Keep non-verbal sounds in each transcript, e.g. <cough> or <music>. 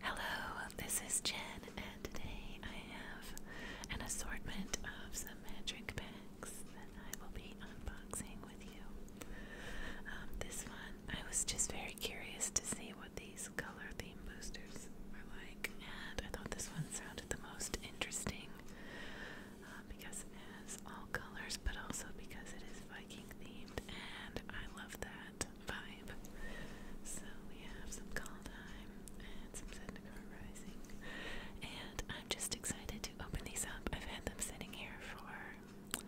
Hello, this is Jen, and today I have an assortment of some magic bags that I will be unboxing with you. Um, this one, I was just very curious to see what these color theme boosters were like, and I thought this one sounded the most interesting uh, because it has all colors, but also because it is Viking themed, and I love that vibe. So we have some Kaldheim and some Zendikar Rising. And I'm just excited to open these up. I've had them sitting here for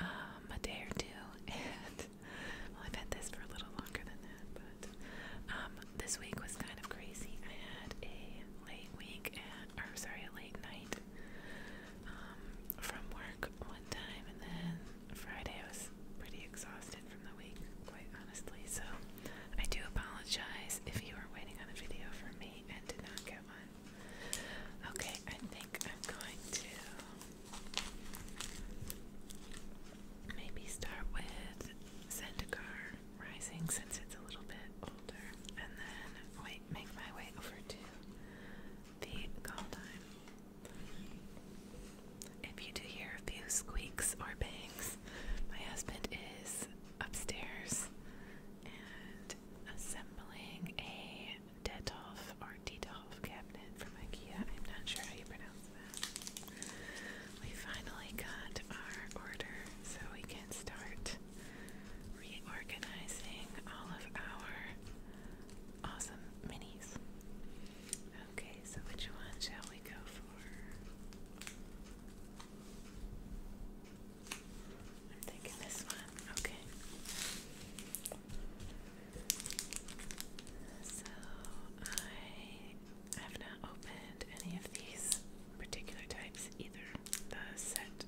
um, a day or two, <laughs> and I've had this for a little longer than that, but um, this week was kind of crazy. I had a late week, at, or sorry, a late night um, from work one time, and then Friday I was pretty exhausted from the week, quite honestly, so I do apologize if you were waiting on a video from me and did not get one. Okay, I think I'm going to maybe start with Zendikar Rising since it's a little bit older, and then wait, make my way over to the call if you do hear a few squeaks or bangs, my husband is upstairs and assembling a Detolf or Detolf cabinet from IKEA. I'm not sure how you pronounce that. We finally got our order so we can start reorganizing all of our awesome minis. Okay, so which one shall we go for? I'm thinking this one. Okay. So I have not opened any of these particular types either. The set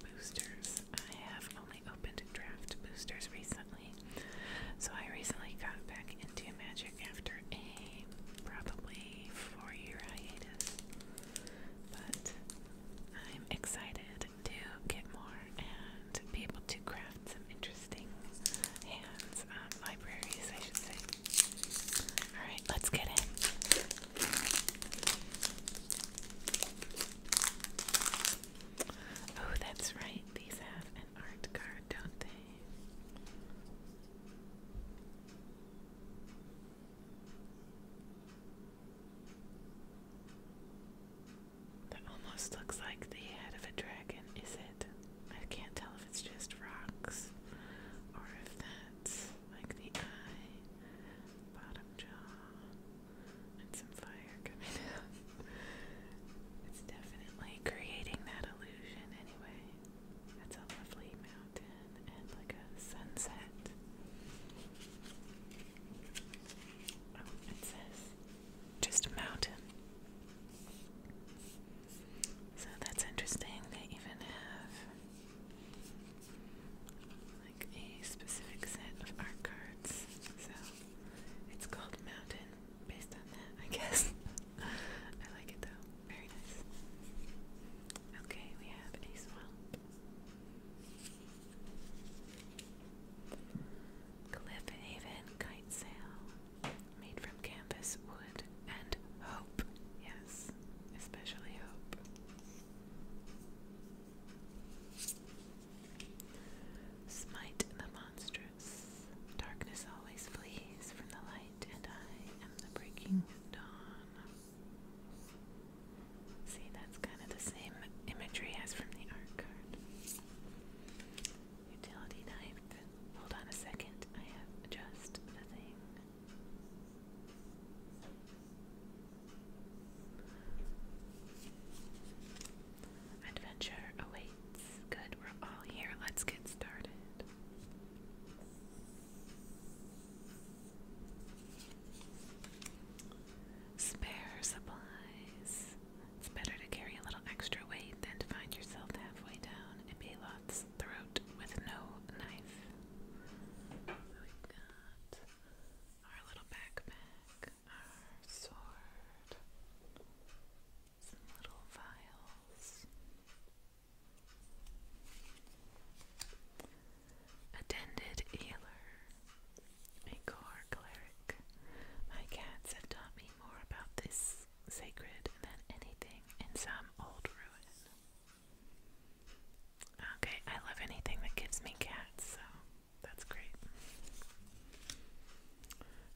boosters. I have only opened draft boosters recently. So I recently got back into Magic after a probably four year hiatus. But I'm excited to get more and be able to craft some interesting hands, um, libraries, I should say. Alright, let's get in. Oh, that's right. These have an art card, don't they? That almost looks like the head of a dragon, is it? I can't tell if it's just rocks or if that's like the eye, bottom jaw some fire coming <laughs> out. it's definitely creating that illusion anyway. That's a lovely mountain and like a sunset. Oh, it says just a mountain. So that's interesting. They even have like a specific set of art cards. So it's called Mountain based on I guess. <laughs> I like it though. Very nice. Okay, we have a swamp. Cliff Haven kite sail. Made from canvas, wood, and hope. Yes, especially hope. Smite the monstrous. Darkness always flees from the light, and I am the breaking dawn. See, that's kind of the same imagery as from the art card. Utility knife. Hold on a second, I have just the thing. Adventure awaits. Good, we're all here. Let's get started. Spare supplies. It's better to carry a little extra weight than to find yourself halfway down a Belot's throat with no knife. we got our little backpack our sword, some little vials. Attended Ailer, a cleric. My cats have taught me more about this sacred than anything in some old ruin. Okay, I love anything that gives me cats, so that's great.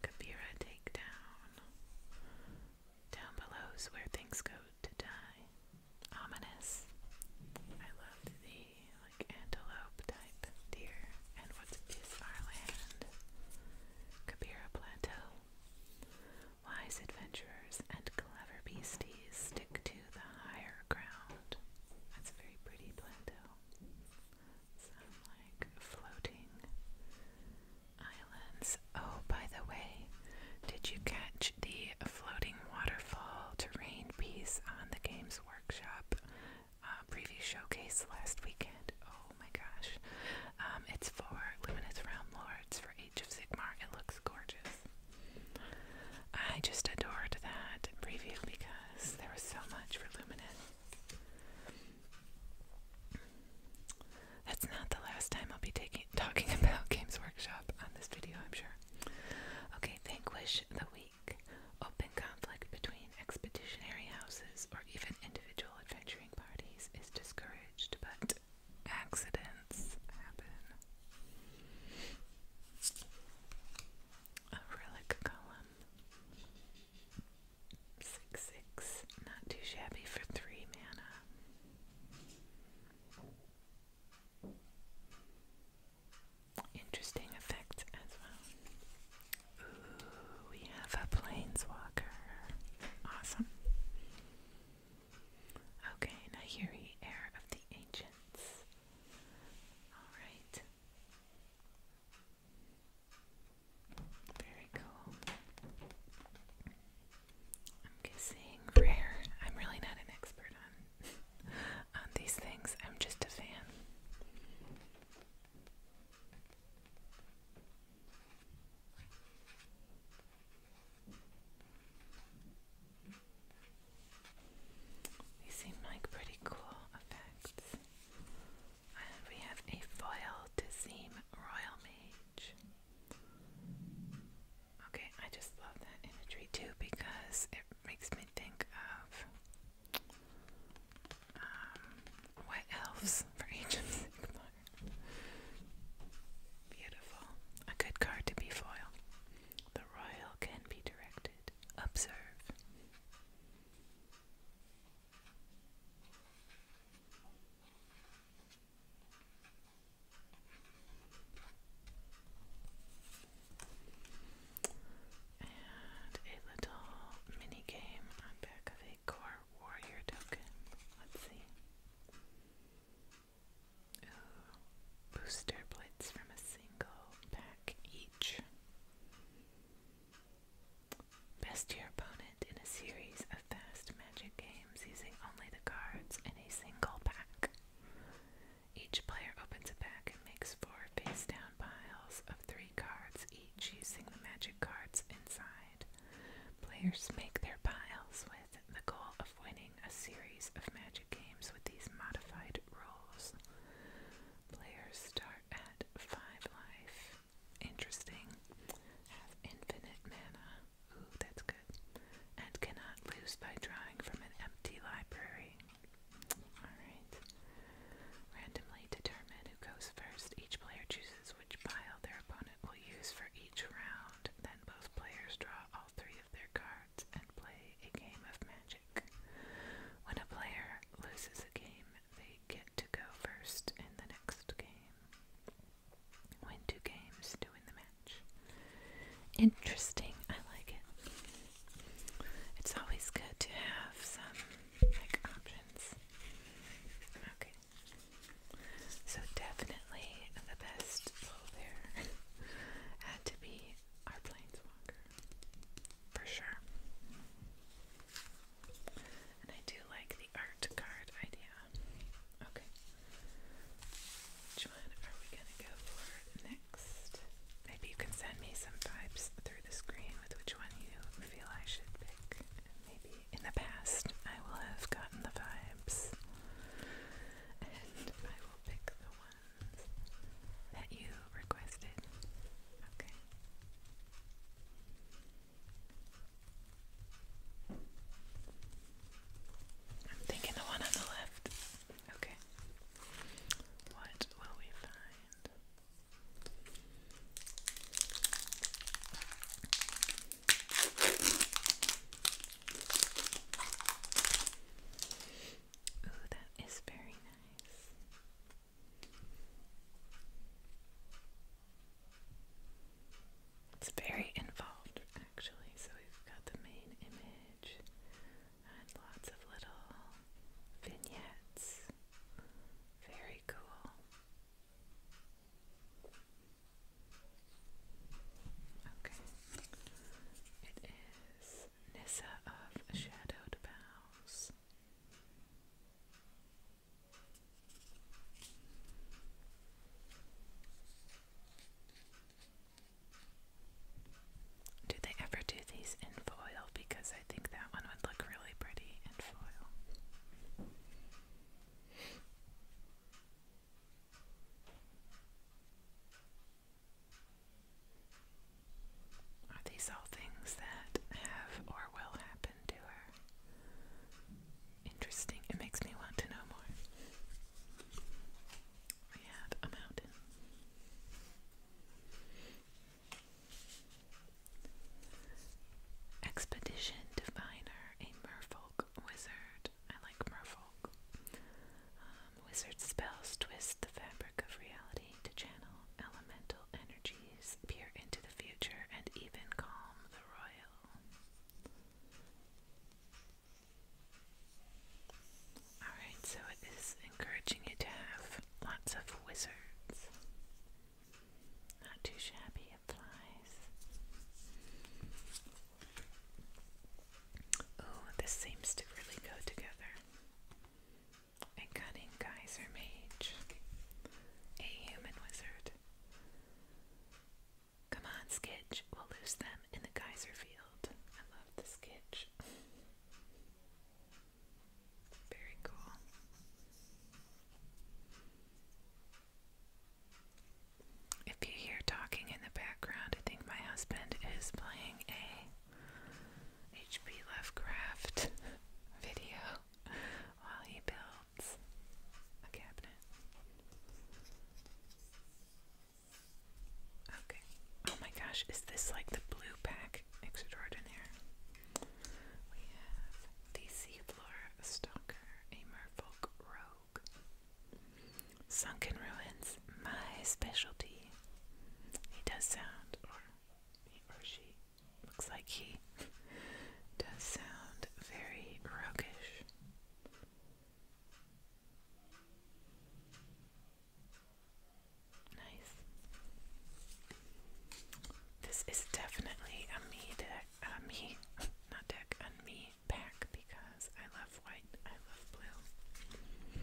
Kavira takedown. Down below's where things go to die. Ominous. I love the like antelope type deer. And what is our land? Kabira Plateau. Wise adventurers and clever beasties stick to the higher ground. That's very pretty plateau. So like floating islands. Oh, by the way, did you catch the floating waterfall terrain piece on the Games Workshop uh, preview showcase last weekend? Oh my gosh. Um, it's for Luminous Realm Lords for Age of Sigmar. It looks gorgeous. I just adored that preview because there was so much for Luminous. That's not the last time I'll be taking talking <laughs> about Games Workshop on this video, I'm sure. Okay, vanquish the weak. Open conflict between expeditionary houses or even individual adventuring parties is discouraged, but accidents happen. A relic Six, six. Not too shabby for three mana. Interesting effect as well. Ooh, we have a planeswalker. Awesome. Okay, now heir of the ancients. Alright. Very cool. I'm guessing rare. I'm really not an expert on <laughs> on these things. I'm just a fan. These seem like pretty cool effects we have a foil to seem Royal Mage. Okay, I just love that imagery too because it makes me think of um, what wet elves for Age of Sigmar. Beautiful. A good card to be foil. The royal can be directed. Observe. And a little mini game on back of a core warrior token. Let's see. Ooh, booster blitz from a single pack each. Best your opponent in a series of fast magic games using only the cards in a single pack. Each player opens a pack and makes four face down piles of three cards each using the magic cards inside. Players make their piles with the goal of winning a series of magic games with these modified rules. Players start at 5 life. Interesting. Have infinite mana. Ooh, that's good. And cannot lose by drawing from an empty library. Alright. Randomly determine who goes first. Each player chooses which pile their opponent will use for each round. Then both players draw all three of their cards and play a game of magic. When a player loses a game, they get to go first in the next game. Win two games to win the match. Interesting, I like it. It's always good to have some like options. Okay. So definitely the best role there <laughs> had to be our planeswalker. For sure. And I do like the art card idea. Okay. Which one are we gonna go for next? Maybe you can send me some vibes through the screen with which one you feel I should pick. Maybe in the past I will have gotten the vibes. And I will pick the ones that you requested. Okay. I'm thinking the one on the left. Okay. What will we find? Ooh, that is very nice. It's very involved actually, so we've got the main image and lots of little vignettes. Very cool. Okay. It is Nissa of Shadowed Boughs. Do they ever do these in foil? Because I think that one would look really pretty in foil. Are these all things that have or will happen? happened Interesting. It makes me want to know more. We have a mountain. Expedition Diviner, a merfolk wizard. I like merfolk. Um, wizard spells twist the fabric of reality to channel elemental energy peer into the future and even calm the royal. Alright, so it is encouraging you to have lots of wizards. Not too shabby, it flies. Oh, this seems to really go together. And cutting a geyser mage, a human wizard. Come on, Skitch, we'll lose them in the geyser field. I love the Skitch. Very cool. If you hear talking in the background, I think my husband is playing a HP Lovecraft <laughs> video while he builds. A cabinet. Okay. Oh my gosh, is this like the blue pack extraordinaire? We have the Seafloor Stalker, a merfolk rogue. Sunken Ruins, my specialty. He does sound, he or she Looks like he does sound very roguish. Nice. This is definitely a me deck, a me, not deck, a me pack because I love white, I love blue.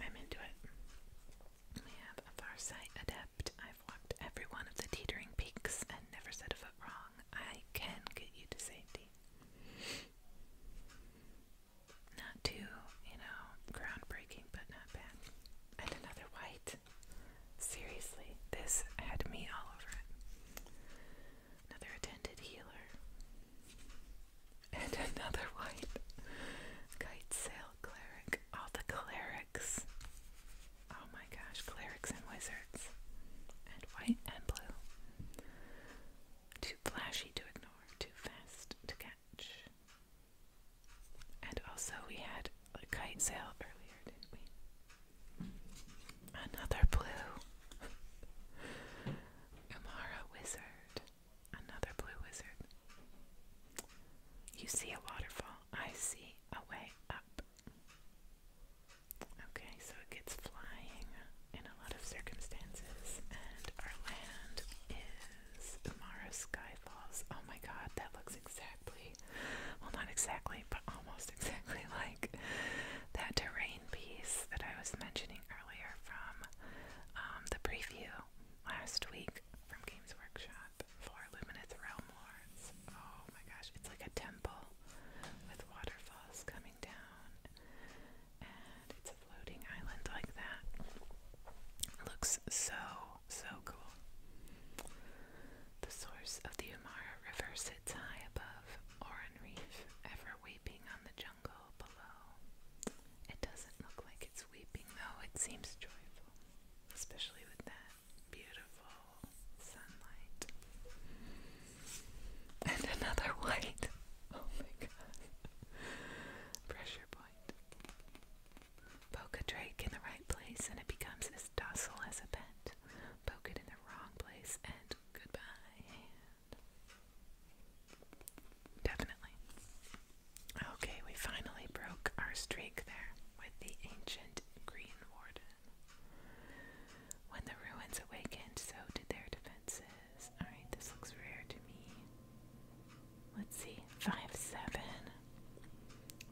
I'm into it. We have a Farsight adept. I've walked every one of the teetering peaks and never set a foot wrong. I can get you to safety. Not too, you know, groundbreaking, but not bad. And another white. Seriously, this had me all over it. Another attended healer. And <laughs> another white. Kite cleric. All the cleric clerics. Oh my gosh, clerics and wizards. And white and blue. Too flashy to ignore, too fast to catch. And also, we had a kite sail earlier, didn't we? Another blue. Umara <laughs> Wizard. Another blue wizard. You see a waterfall, I see a way up. Okay, so it gets flying in a lot of circumstances, and our land is Umara Skyfalls. Oh my god, that looks exactly, well, not exactly, but almost <laughs> exactly like that terrain piece that I was mentioning earlier from um, the preview last week from Games Workshop four luminous realm lords. Oh my gosh, it's like a temple with waterfalls coming down, and it's a floating island like that. looks so so cool. The source of the Umara River sits high above Oran Reef, ever weeping on the jungle below. It doesn't look like it's weeping though, it seems joyful, especially with that beautiful sunlight. And another white. <laughs> Oh my god. Pressure point. Poke a drake in the right place and it becomes as docile as a pet. Poke it in the wrong place and goodbye. Definitely. Okay, we finally broke our streak there with the ancient green warden. When the ruins awakened, so did their defenses. Alright, this looks rare to me. Let's see. 5 7.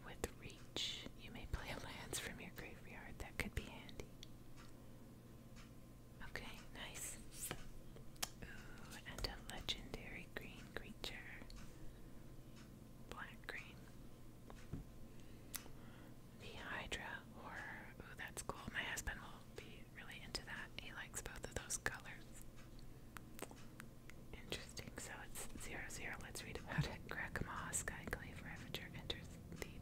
With reach, you may play <laughs> lands from your graveyard. That could be handy. Okay, nice. Ooh, and a legendary green creature black green. The Hydra horror. Ooh, that's cool. My husband will be really into that. He likes both of those colors. Interesting. So it's zero zero. Let's read about it. Grakma Skyclave Ravager enters the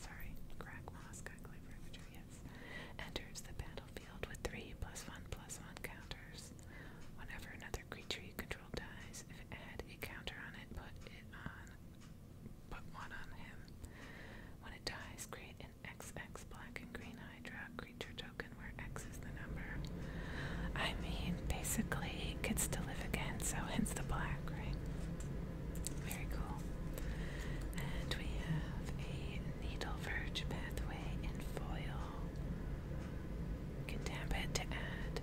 sorry, Grakma Skyclave Ravager, yes. Enters the battlefield with three plus one plus one counters. Whenever another creature you control neutral dies. If it had a counter on it, put it on put one on him. When it dies, create an XX black and green hydra creature token where X is the number. I mean, basically it gets to live again, so hence the black, right? Very cool. And we have a needle pathway in foil. You can tap it to add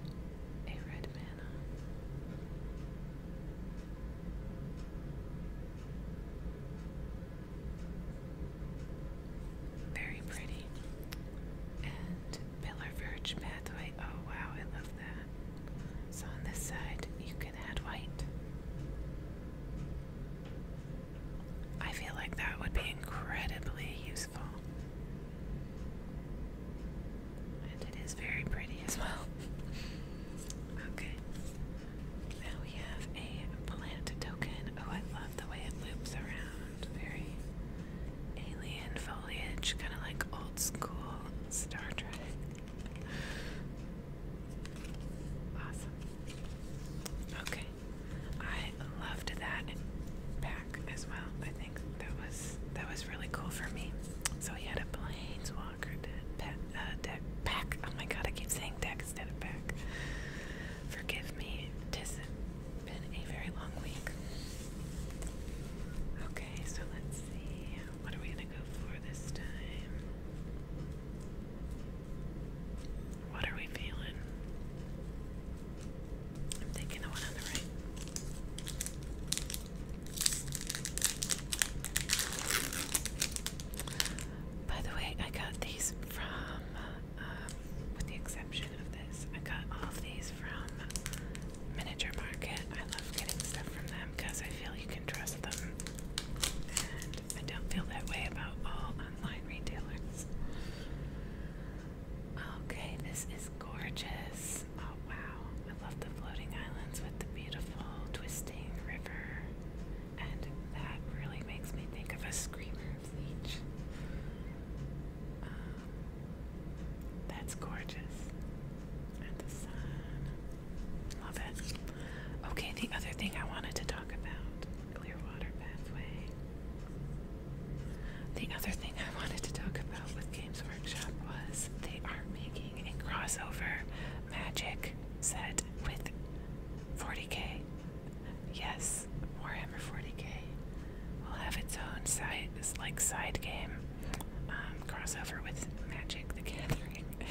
a red mana. Very pretty. And Pillar Verge Pathway. Oh wow, I love that. So on this side, you can add white. I feel like that would be incredibly useful and it is very pretty as well. <laughs> okay. Now we have a plant token. Oh, I love the way it loops around. Very alien foliage, kind of like old school Star Trek. Awesome. Okay. I loved that pack as well that was that was really cool for me. So he had a planeswalker uh, deck, deck Oh my god, I keep saying deck instead of pack. Forgive me. Tis been a very long week. Okay, so let's see. What are we gonna go for this time? What are we feeling? I'm thinking the one on the right. By the way, I got these from, um, with the exception of this, I got all of these from Miniature Market. I love getting stuff from them because I feel you can trust them. And I don't feel that way about all online retailers. Okay, this is gorgeous. Oh wow, I love the floating islands with the beautiful twisting river. And that really makes me think of a screamer of Um, that's gorgeous. And the sun. Love it. Okay, the other thing I wanted to talk about Clearwater Pathway. The other thing I wanted to talk about with Games Workshop was they are making a crossover magic set with 40k. Yes, Warhammer 40k will have its own side, like side game um, crossover with Magic: The Gathering, <laughs>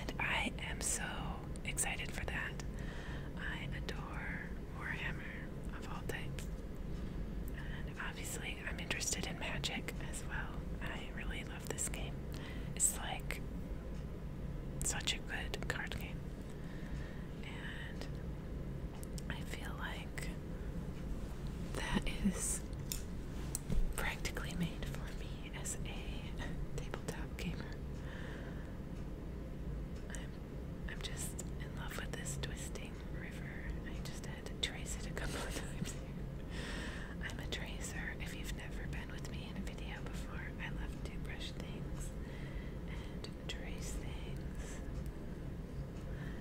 and I am so excited for that. I adore Warhammer of all types obviously, I'm interested in magic as well. I really love this game. It's like such a good card game. And I feel like that is practically made for me as a tabletop gamer. I'm, I'm just in love with this twisting river. I just had to trace it a couple of <laughs> times I'm a tracer. If you've never been with me in a video before, I love to brush things and trace things.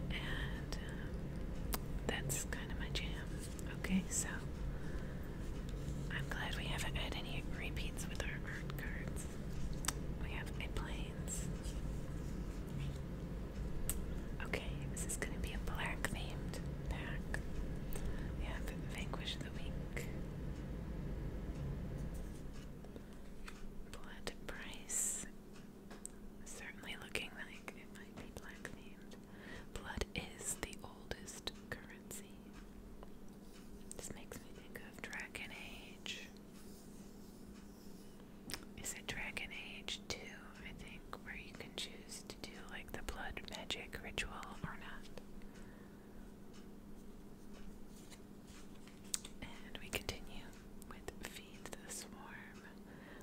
And um, that's kind of my jam. Okay, so I'm glad we haven't had any repeats with our art cards. We have a planes. Okay, this is gonna be a black themed pack. We Vanquish the Weak, Blood Price, certainly looking like it might be black themed. Blood is the oldest currency. This makes me think of Dragon Age is it Dragon Age 2, I think, where you can choose to do like the blood magic ritual or not. And we continue with Feed the Swarm.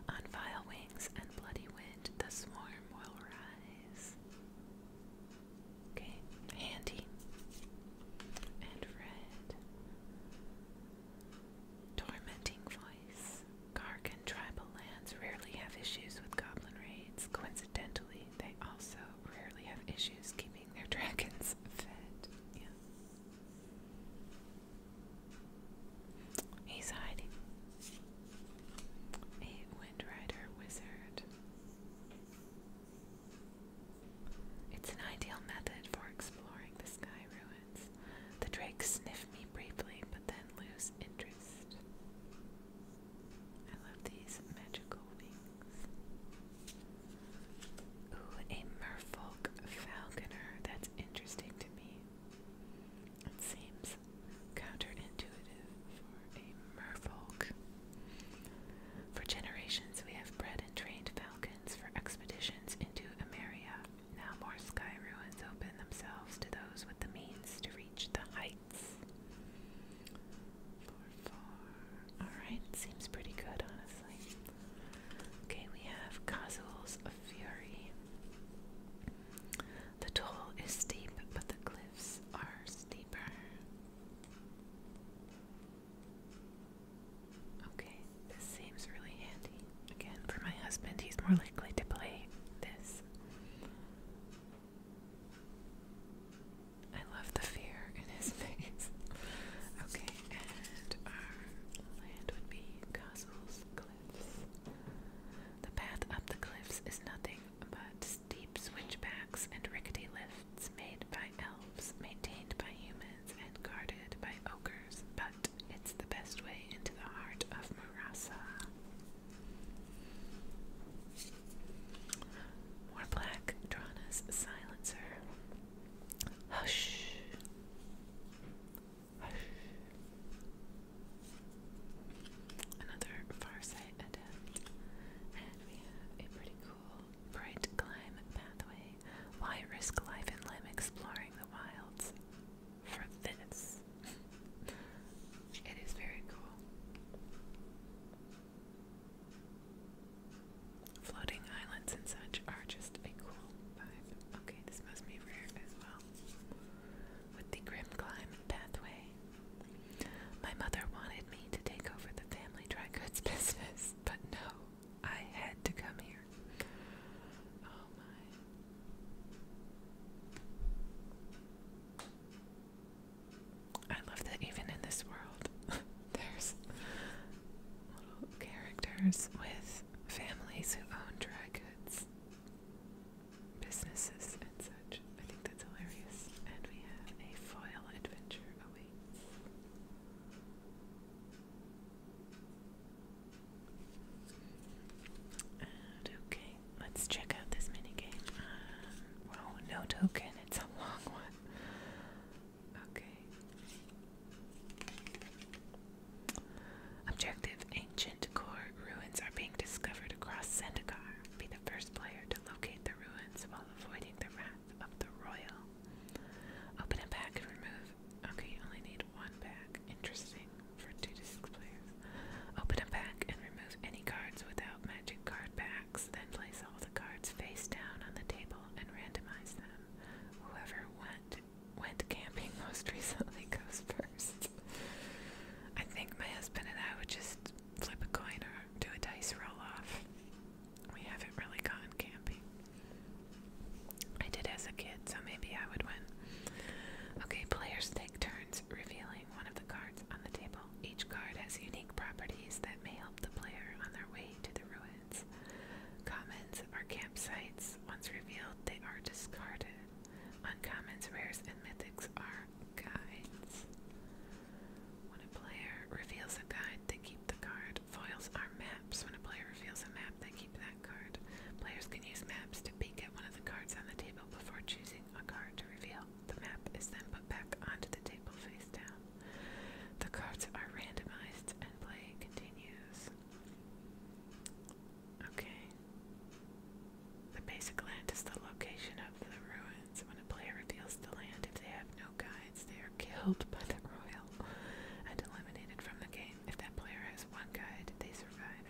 On vile wings and bloody wind, the swarm will rise. Okay, handy. And red. Tormenting voice. Gargan tribal lands rarely have issues with goblin raids. Coincidentally, they also rarely have issues keeping their <laughs> dragons fed. Yeah. He's hiding. A Windrider wizard. It's an ideal method for exploring the sky ruin. The drake sniffed me briefly, but then lose interest. I love these magical wings. Ooh, a merfolk falconer. That's interesting to me. seems counterintuitive for a merfolk. For generations, we have bred and trained falcons for expeditions into Ameria. Now more sky ruins open themselves to those with the means to reach the heights. Alright, seems pretty good, honestly. Okay, we have Casuals Fury. The toll is steep, but the cliffs are steeper. Okay, this seems really handy. Again, for my husband, he's more likely to play this. I love the fear in his <laughs> face. okay, and our land would be castles, cliffs. The path up the cliffs is nothing but steep switchbacks and rickety lifts made by elves, maintained by humans, and guarded by ogres. But it's the best way into the heart of Marasa. More black, Drana's silencer. Hush. Hush. Another Farsight adept. And we have a pretty cool bright climb pathway. Why risk life and limb exploring the wilds? for this. it is very cool. Floating islands and such are just a cool vibe. Okay, this must be rare as well. With the grim climb pathway. My mother wanted me to take over the family dry goods <laughs> business, but no, I had to come here Oh I love that even in this world, <laughs> there's little characters with families who own dry goods, businesses, and such. I think that's hilarious. And we have a foil adventure awaits. Uh, okay, let's check out this minigame. Um, uh, well, no token, it's a long one. Okay. Objective Ancient core ruins are being discovered across Zendikar. Be the first player to locate the ruins while avoiding the wrath of the royal. Open a pack and remove. Okay, you only need one pack. Interesting for two to six players. Open a pack and remove any cards without magic card packs. Then place all the cards face down on the table and randomize them. Whoever went went camping <laughs> most recently goes first. I think my husband and I would just flip a coin or do a dice roll off. We haven't really gone camping. I did as a kid, so maybe I would win. Okay, players take turns revealing one of the cards on the table. Each card has unique properties that may help the player on their way to the ruins. Commons are campsites. Once revealed, they are discarded. Uncommons, rares, and mythics are guides. When a player reveals a guide, they keep the card. Foils are maps. When a player reveals a map, they keep that Players can use maps to peek at one of the cards on the table before choosing a card to reveal. The map is then put back onto the table face down. The cards are randomized and play continues. Okay. The basic land is the location of the ruins. When a player reveals the land, if they have no guides, they are killed by the royal and eliminated from the game if that player has one guide, they survive.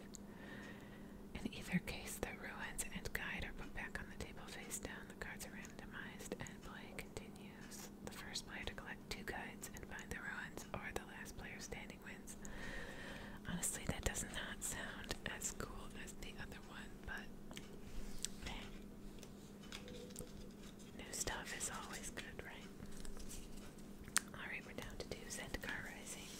In either case, the ruins and guide are put back on the table face down, the cards are randomized, and play continues. The first player to collect two guides and find the ruins, or the last player standing wins. Honestly, that does not sound as cool as the other one, but hey. Eh. New stuff is always good, right? Alright. we're down to do Zendikar Rising.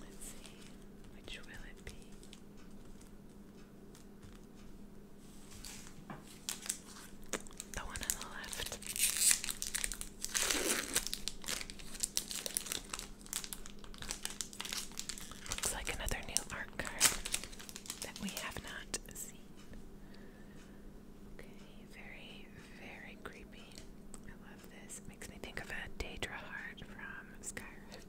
Let's see, which will it be? The one on the left. Looks like another new art card that we have not seen. Okay, very, very creepy. I love this. It makes me think of a Daedra heart from Skyrim.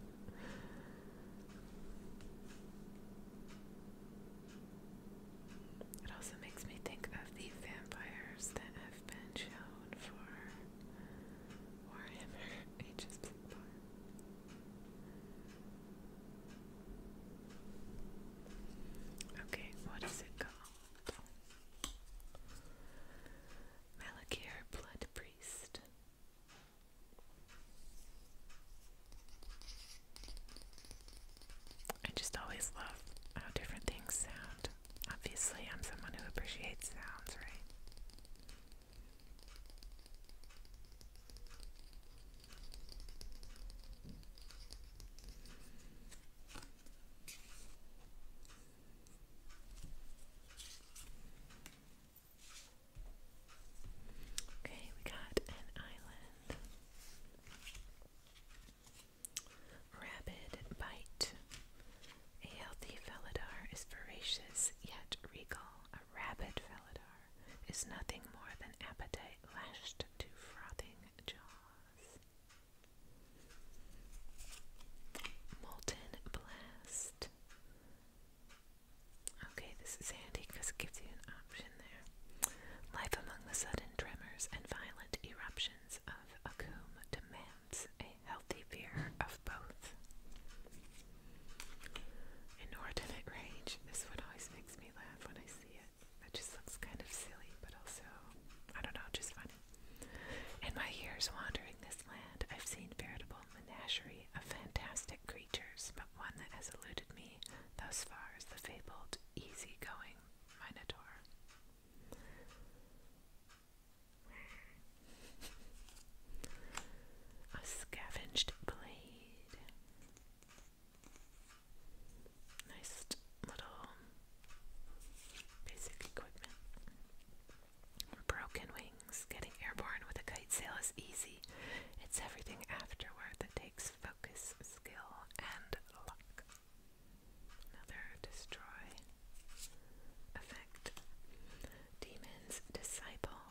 It also makes me think of the vampires that have been shown for Warhammer <laughs> Ages Bloodborne. Okay, what is it called? Malakir Blood Priest. I just always love how different things sound. Obviously, I'm someone who appreciates sounds, right? Okay, we got an island. Rabid bite. A healthy felidar is voracious yet regal. A rabbit felidar is nothing more than appetite lashed to frothing jaws. Molten blast. Okay, this is handy because it gives you an option there. Life among the sudden tremors and violent eruptions of Akum demands a healthy fear of both. Inordinate rage. This one always makes me laugh when I see it. That just looks kind of silly, but also, I don't know, just funny. In my years wandering this land, I've seen veritable menagerie of fantastic creatures, but one that has eluded me thus far is the fabled easygoing Minotaur. A scavenged blade. Nice little basic equipment. Broken wings. Getting airborne with a kite sail is easy. It's everything afterward that takes focus, skill, and luck. Another destroy effect. Demons disciple.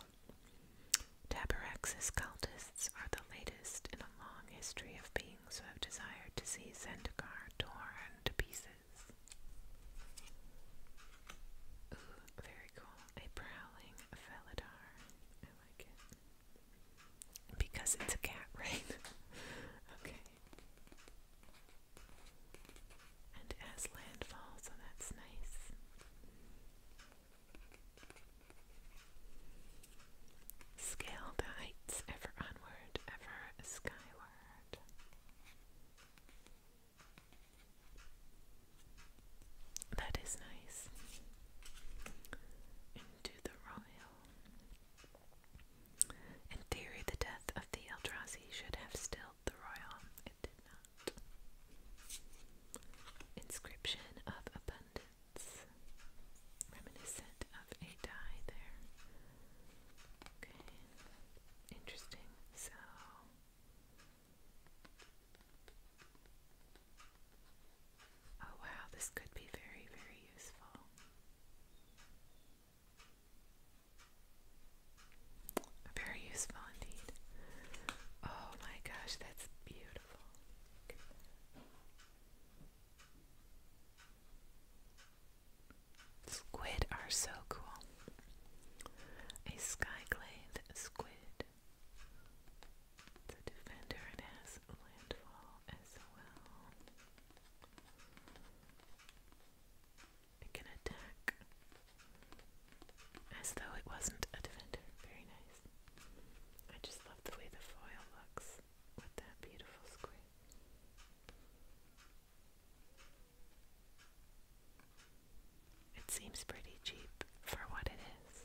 Tabarax's cultists are the latest in a long history of beings who have desired to see Zendikar torn to pieces. Ooh, very cool. A prowling Felidar. I like it. Because it's a cat, <laughs> right? okay. And it has landfall, so oh, that's nice. Scale the heights ever onward, ever skyward. That is nice. Into the royal. In theory, the death of the Eldrazi should have stilled the royal. It did not. Inscription of Abundance. It's reminiscent of a dye there. Okay, interesting. So, oh wow, this could be very, very useful. Very useful indeed. Oh my gosh, that's beautiful. Squid are so cool. A sky squid. It's a defender and has landfall as well. It can attack as though it wasn't a defender. Very nice. I just love the way the foil looks with that beautiful squid. It seems pretty cheap for what it is.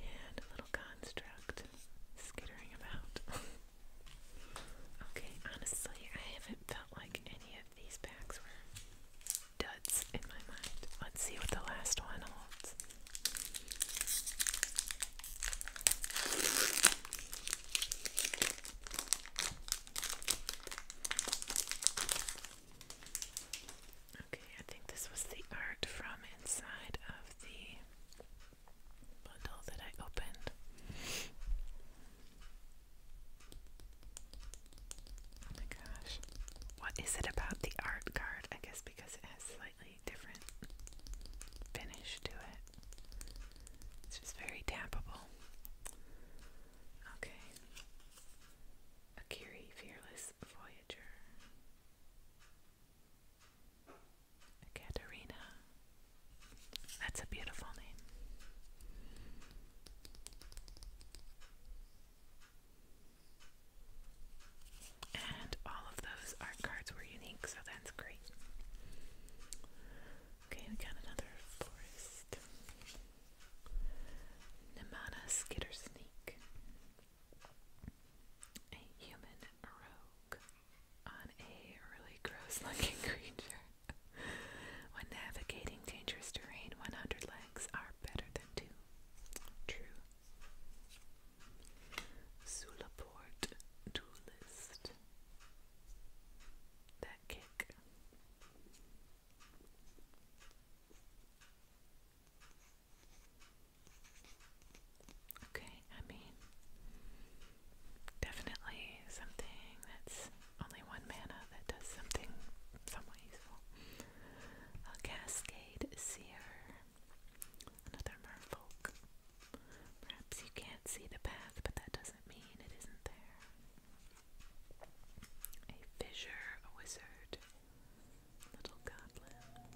And a little construct skittering about. <laughs> okay, honestly, I haven't felt like any of these packs were duds in my mind. Let's see what the last one holds. Okay, I think this was the art from inside of the bundle that I opened. Oh my gosh. What is it about the art card? I guess because it has slightly different finish to it. It's just very tappable. Okay. Akiri Fearless Voyager. Katerina. That's a beautiful name. And all of those art cards were unique, so that's great. Okay, we got another forest. Nemana Skitter A human rogue on a really gross looking <laughs> creature. when navigating dangerous terrain, 100 legs are better True. Sulaport duelist. That kick. Okay, I mean, definitely something that's only one mana that does something somewhat useful a Cascade Seer, another merfolk. Perhaps you can't see the path, but that doesn't mean it isn't there. A fissure, a wizard, little goblin.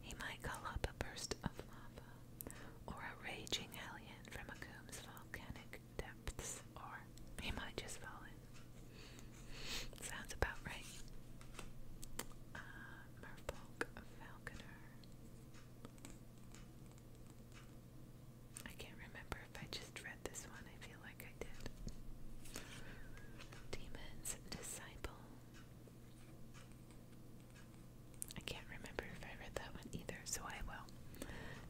He might call up a burst of lava, or a raging alien from a comb's volcanic depths, or he might just fall in. Sounds about right. Uh, Merfolk Falconer. I can't remember if I just read this one. I feel like I did. Demon's Disciple. I can't remember if I read that one either, so I will.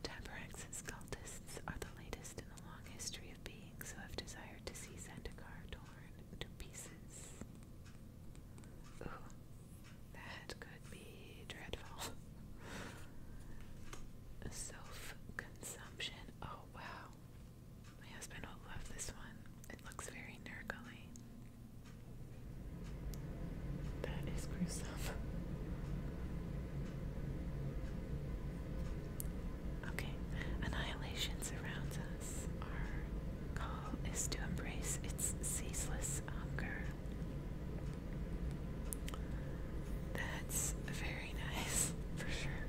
Tabarax's cultists are the latest in a long history of being beings who have desired to see Zendikar torn to pieces. that could be dreadful. Self consumption. Oh wow. My husband will love this one. It looks very nurgly. That is gruesome. Okay, annihilation surrounds us. Our call is to embrace its ceaseless hunger. That's very nice, for sure.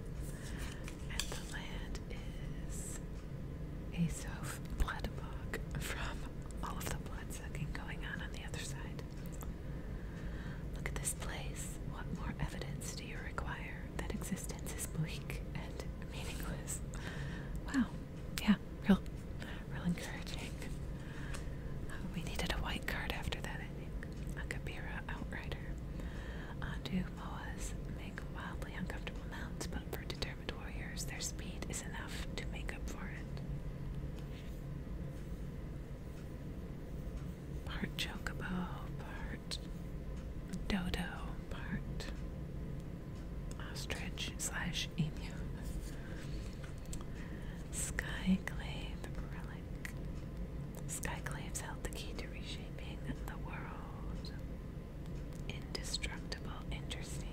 And the land is a soft Bloodbog from all of the blood sucking going on on the other side. Look at this place. What more evidence do you require that existence is bleak and meaningless? Wow. Yeah, real, real encouraging. Uh, we needed a white card after that, I think. A Kabira Outrider. Undo Moas make wildly uncomfortable mounts, but for determined warriors, their speed is enough to make up for it part chocobo, part dodo, part ostrich slash emu. Skyclave relic. Skyclaves held the key to reshaping the world. Indestructible, interesting.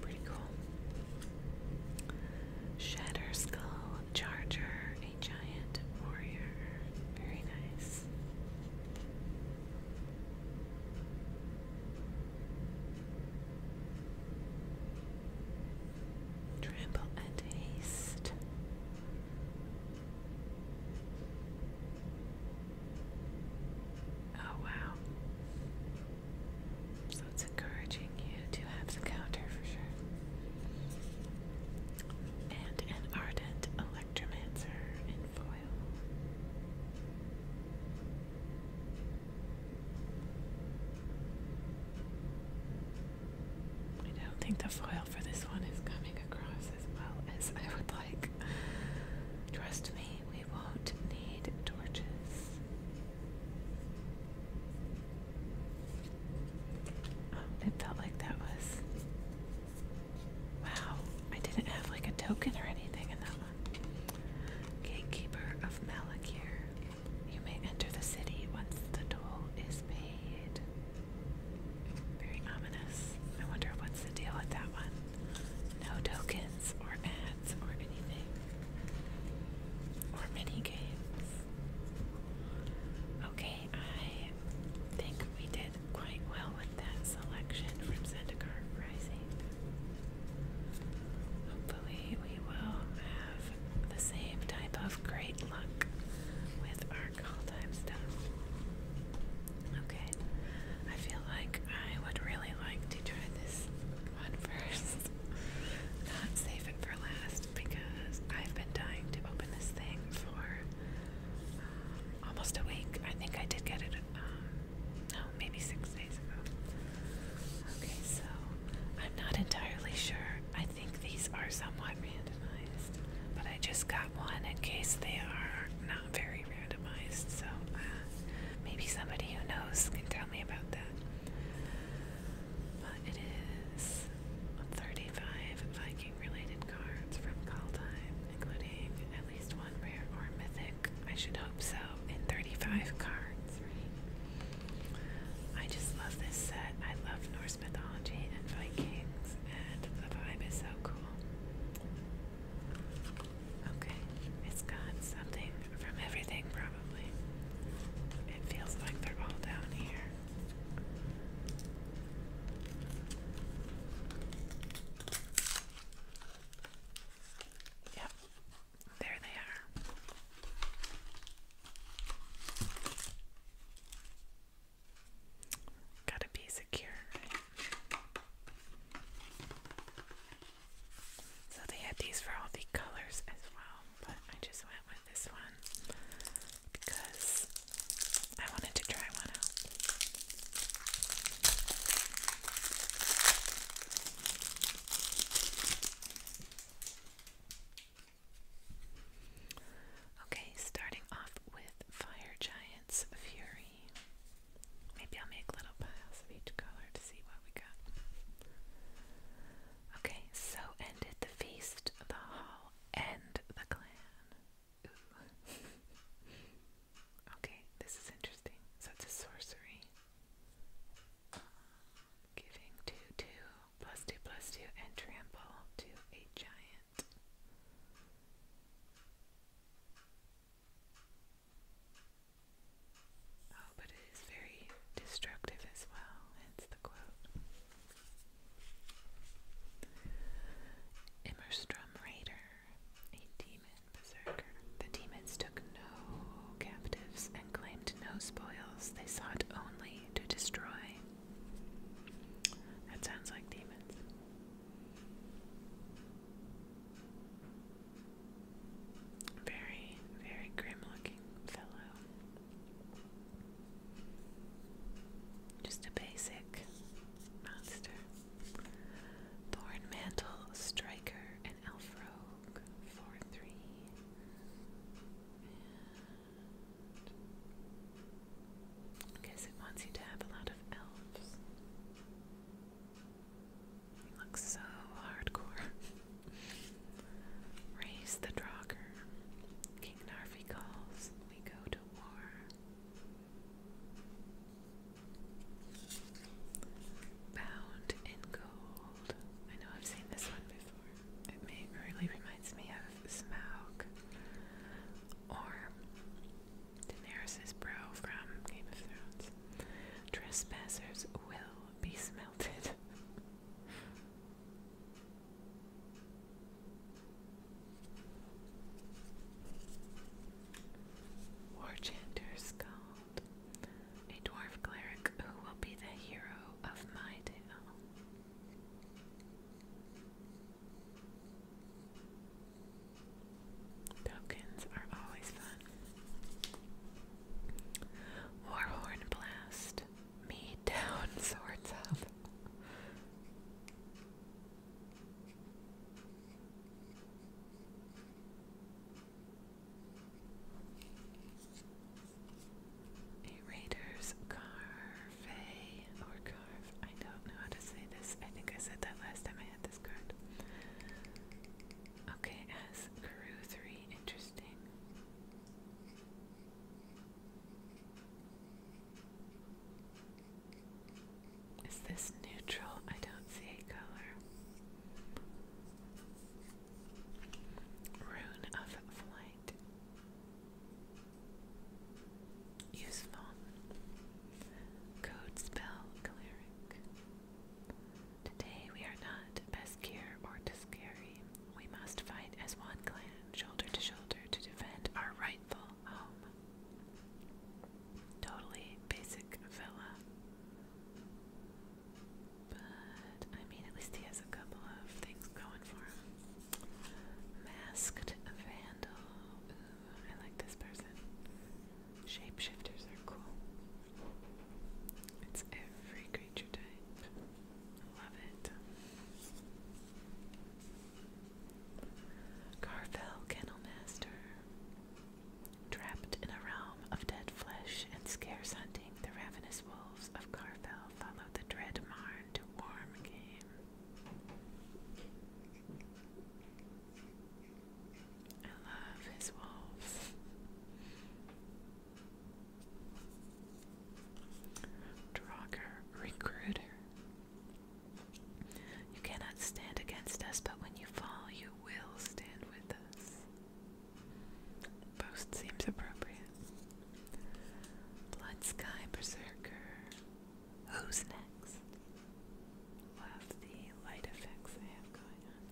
Pretty cool. Shatter Skull Charger, a giant warrior. Very nice. Trample and haste. Oh, wow. So it's encouraging you to have the counter for sure. And an ardent electromancer in foil. I don't think the foil for this one is coming across as well as I would like trust me, we won't need torches. Um, it felt like that was. Wow, I didn't have like a token or anything in that one. Gatekeeper of Malakir. You may enter the city once the toll is paid. Very ominous. I wonder what's the deal with that one. No tokens or ads or anything. Or mini games. Okay, I think we did quite well with that selection from Zendikar Rising. Hopefully, we will have the same type of great luck with our call time stuff. Okay, I feel like I would really like to try this one <laughs> first. Not save it for last because I've been dying to open this thing for um, almost a week. I think I did get it, uh, no, maybe six days ago. Okay, so I'm not entirely sure. I think these are somewhat randomized, but I just got one in case they are not very randomized, so uh, maybe somebody who knows can tell me about that. But it is 35 Viking related cards from Kaldheim, including at least one rare or mythic. I should hope so, in 35 cards, I just love this set. I love Norse mythology and Vikings, and the vibe is so cool. Okay, it's got something from everything, probably. It feels like they're all down here. Yep, there they are. Gotta be secure, so they had these for all the colors as well, but I just went with this one because I wanted to try one out. Okay, starting off with Fire Giant's Fury. Maybe I'll make little piles of each color to see what we got. Okay, so ended the feast, the hall, and the clan. <laughs> okay, this is interesting. So it's sorcery. Um, giving 2 2, plus 2 plus 2, and trample to a giant. Oh, but it is very destructive as well, hence the quote. Immerstrom Raider, a demon berserker. The demons took no captives and claimed no spoils. They sought only to destroy. That sounds like demons. Very, very grim looking fellow. Just a basic monster. Thorn Mantle, Striker, and Elf Rogue. 4 3. I guess it wants you to have a lot of elves looks so hardcore. <laughs> Raise the Draugr. King Narvi calls. We go to war. Bound in gold. I know I've seen this one before. It may really reminds me of Smaug. Or Daenerys' brow from Game of Thrones. Trespassers will be smelted. Warchanter Scald, a dwarf cleric who will be the hero of my tale. Pumpkins are always fun. Warhorn blast. Me <laughs> down, swords up. A Raiders carve or carve. I don't know how to say this. I think I said that last time I had this card. Okay, as crew three, interesting. Is this neutral? I don't see a color. Rune of Flight. Useful. Code spell cleric. Today we are not Beskir or Tuskari. We must fight as one clan, shoulder to shoulder, to defend our rightful home. Totally basic fella. But, I mean, at least he has a couple of things going for him. Masked Vandal. I like this person. Shapeshifters are cool. It's every creature type. love it. Carvel Kennel Master. Trapped in a realm of dead flesh and scarce hunting, the ravenous wolves of Carvel follow the dread Marn to warm game. I love his wolves. Draugr Recruiter. You cannot stand against us, but when you fall, you will stand with us. Boast seems appropriate. Blood Sky Berserker. Who's next? love the light effects I have going on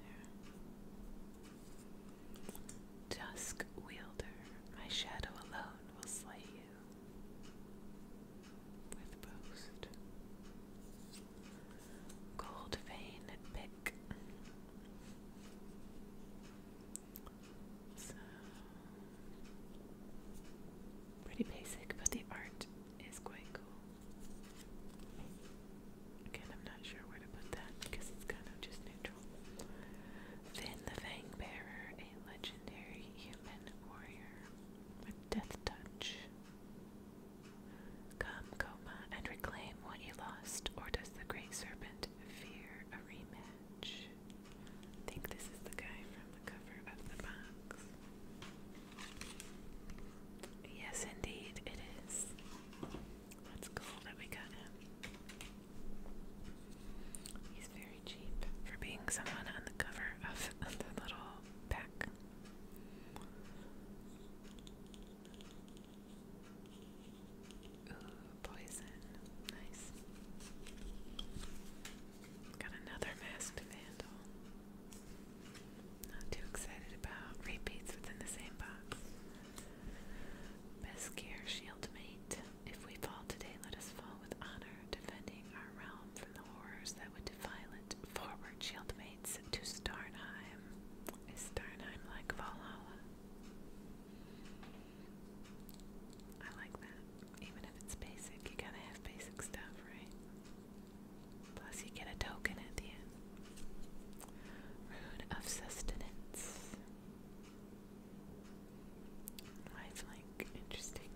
there. Dusk wielder, my shadow alone will slay you with boast. Gold vein pick. So pretty basic, but the art is quite cool. Again, I'm not sure where to put that because it's kind of just neutral. Finn the Fang a legendary human warrior with death touch. Come, Coma, and reclaim what he lost, or does the Great Serpent fear a rematch? think this is the guy from the cover of the box. Yes, indeed, it is. That's cool that we got him. He's very cheap for being someone on the cover of <laughs> the little pack. poison. Nice. Got another masked vandal. Not too excited about repeats within the same box. Best care, shield If we fall today, let us fall with honor, defending our realm from the horrors that would defile it. Forward, shield to Starnheim. Is Starnheim like Valhalla? I like that. Even if it's basic, you gotta have basic stuff, right? Plus, you get a token at the end. Rune of Sustenance. Lifelink, interesting.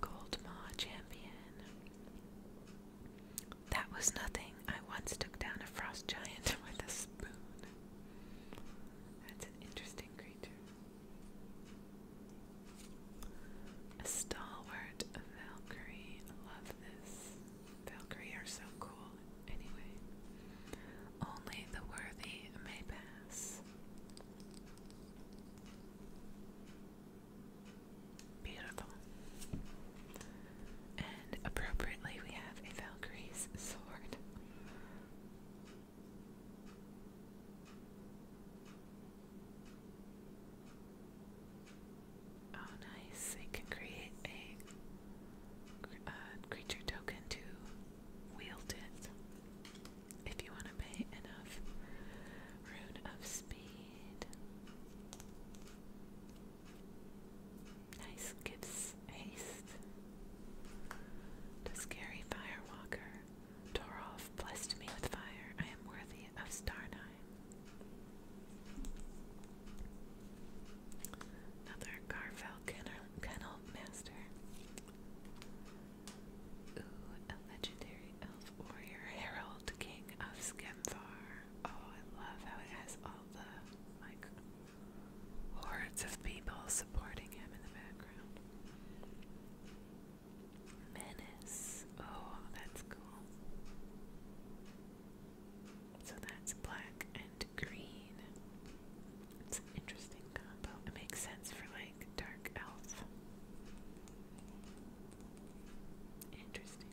Gold Champion. That was nothing. I once took down a frost giant <laughs> with a spoon. That's an interesting creature. A stalwart Valkyrie. Love this. Valkyrie are so cool. Anyway, only the worthy may pass. Beautiful. And appropriately, we have a Valkyrie's sword. Oh, nice. It can create a uh, creature token to wield it if you want to pay enough Rune of Speed. Nice. Gives haste to Scary Firewalker. Torolf blessed me with fire. I am worthy of Starnheim. Another Garfell Kennel, Kennel Master. Ooh, a legendary elf warrior, Herald King of Skemfar. Oh, I love how it has all the, like, hordes of people supporting him in the background. Menace. Oh, that's cool. So that's black and green. It's interesting combo. It makes sense for like dark elf. Interesting.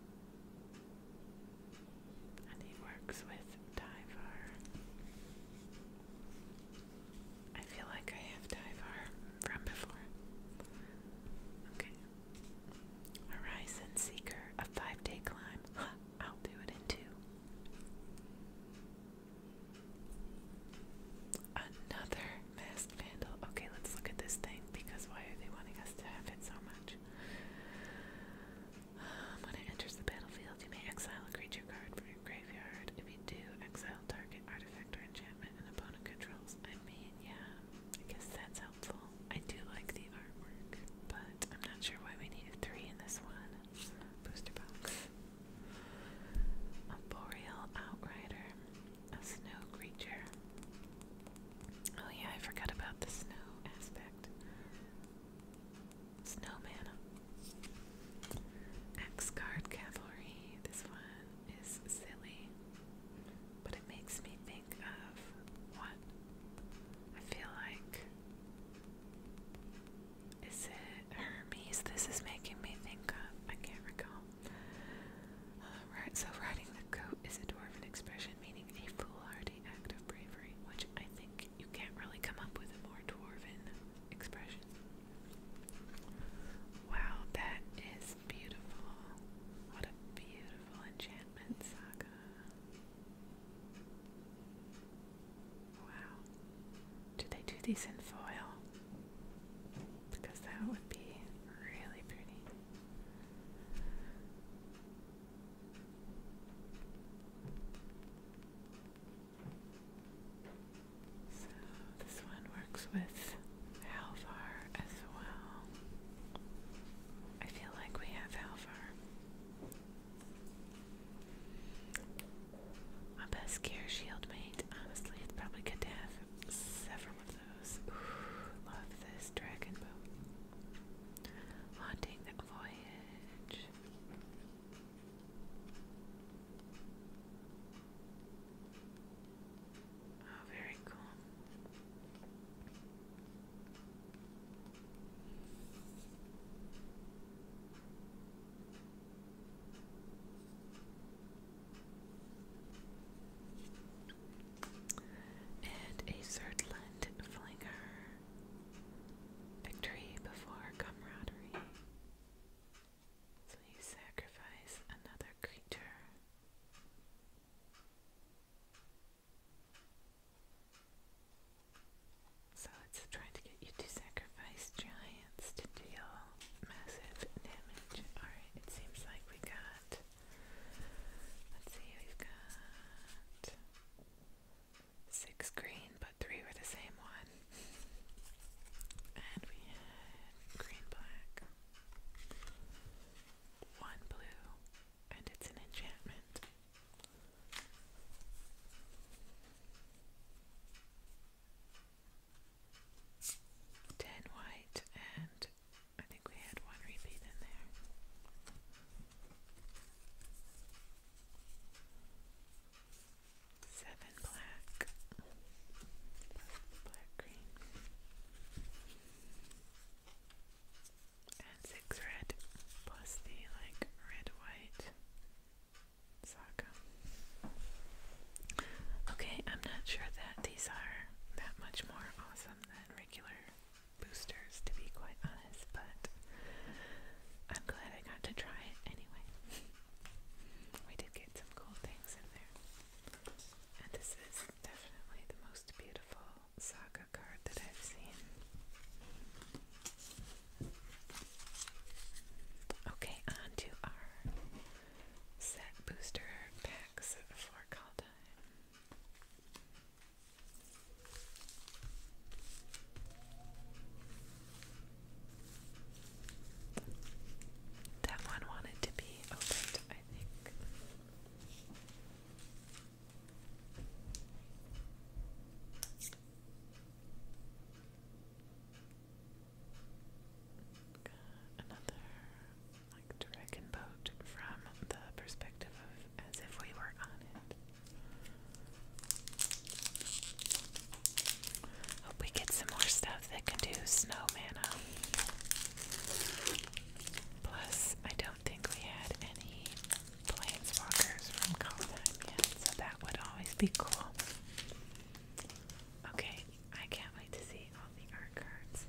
And he works with Divar. I feel like I have Divar from before. Okay, Horizon Seeker, a five day climb. <laughs> I'll do it in two. Another masked vandal. Okay, let's look at this thing because why are they wanting us to have it so much? Um, when it enters the battlefield, you may exile a creature card from your graveyard. If you do, exile target artifact or enchantment an opponent controls. I mean, yeah, I guess that's helpful. I do like the artwork, but I'm not sure why we needed three in this one. Booster box. A boreal outrider. A snow creature. Oh yeah, I forgot about the snow aspect. Snowman. X-Guard Cavalry. This one is silly, but it makes me think of what I feel like. Is it Hermes? This is making me think of. I can't recall. Uh, right, so riding the goat is a dwarven expression meaning a foolhardy act of bravery, which I think you can't really come up with a more dwarven expression. Wow, that is it's beautiful. What a beautiful enchantment saga. Wow. Do they do these in foil? Because that would be really pretty. So this one works with Halvar as well. I feel like we have Halvar. My best care shield mate. Honestly, it's probably good to have several of those. love this dragon boat. Haunting the voyage. Oh, very cool. And a Surtland Flinger. Victory before camaraderie. So you sacrifice another creature so it's trying to get you to sacrifice giants to deal massive damage. Alright, it seems like we got. Let's see, we've got. Six green, but three were the same one. And we had green black one blue, and it's an enchantment. Ten white, and I think we had one repeat in there. Seven black, black green and six red plus the like red white Okay, I'm not sure that these are that much more awesome than regular boosters to be quite honest, but I'm glad I got to try it anyway. <laughs> we did get some cool things in there. And this is definitely the most beautiful saga card that I've seen. Okay, on to our set booster packs for call That one wanted to be opened, I think. Another like dragon boat from the perspective of as if we were on it. Hope we get some more stuff that can do snow mana. Plus, I don't think we had any planeswalkers from Colonheim so that would always be cool. Okay, I can't wait to see all the art cards.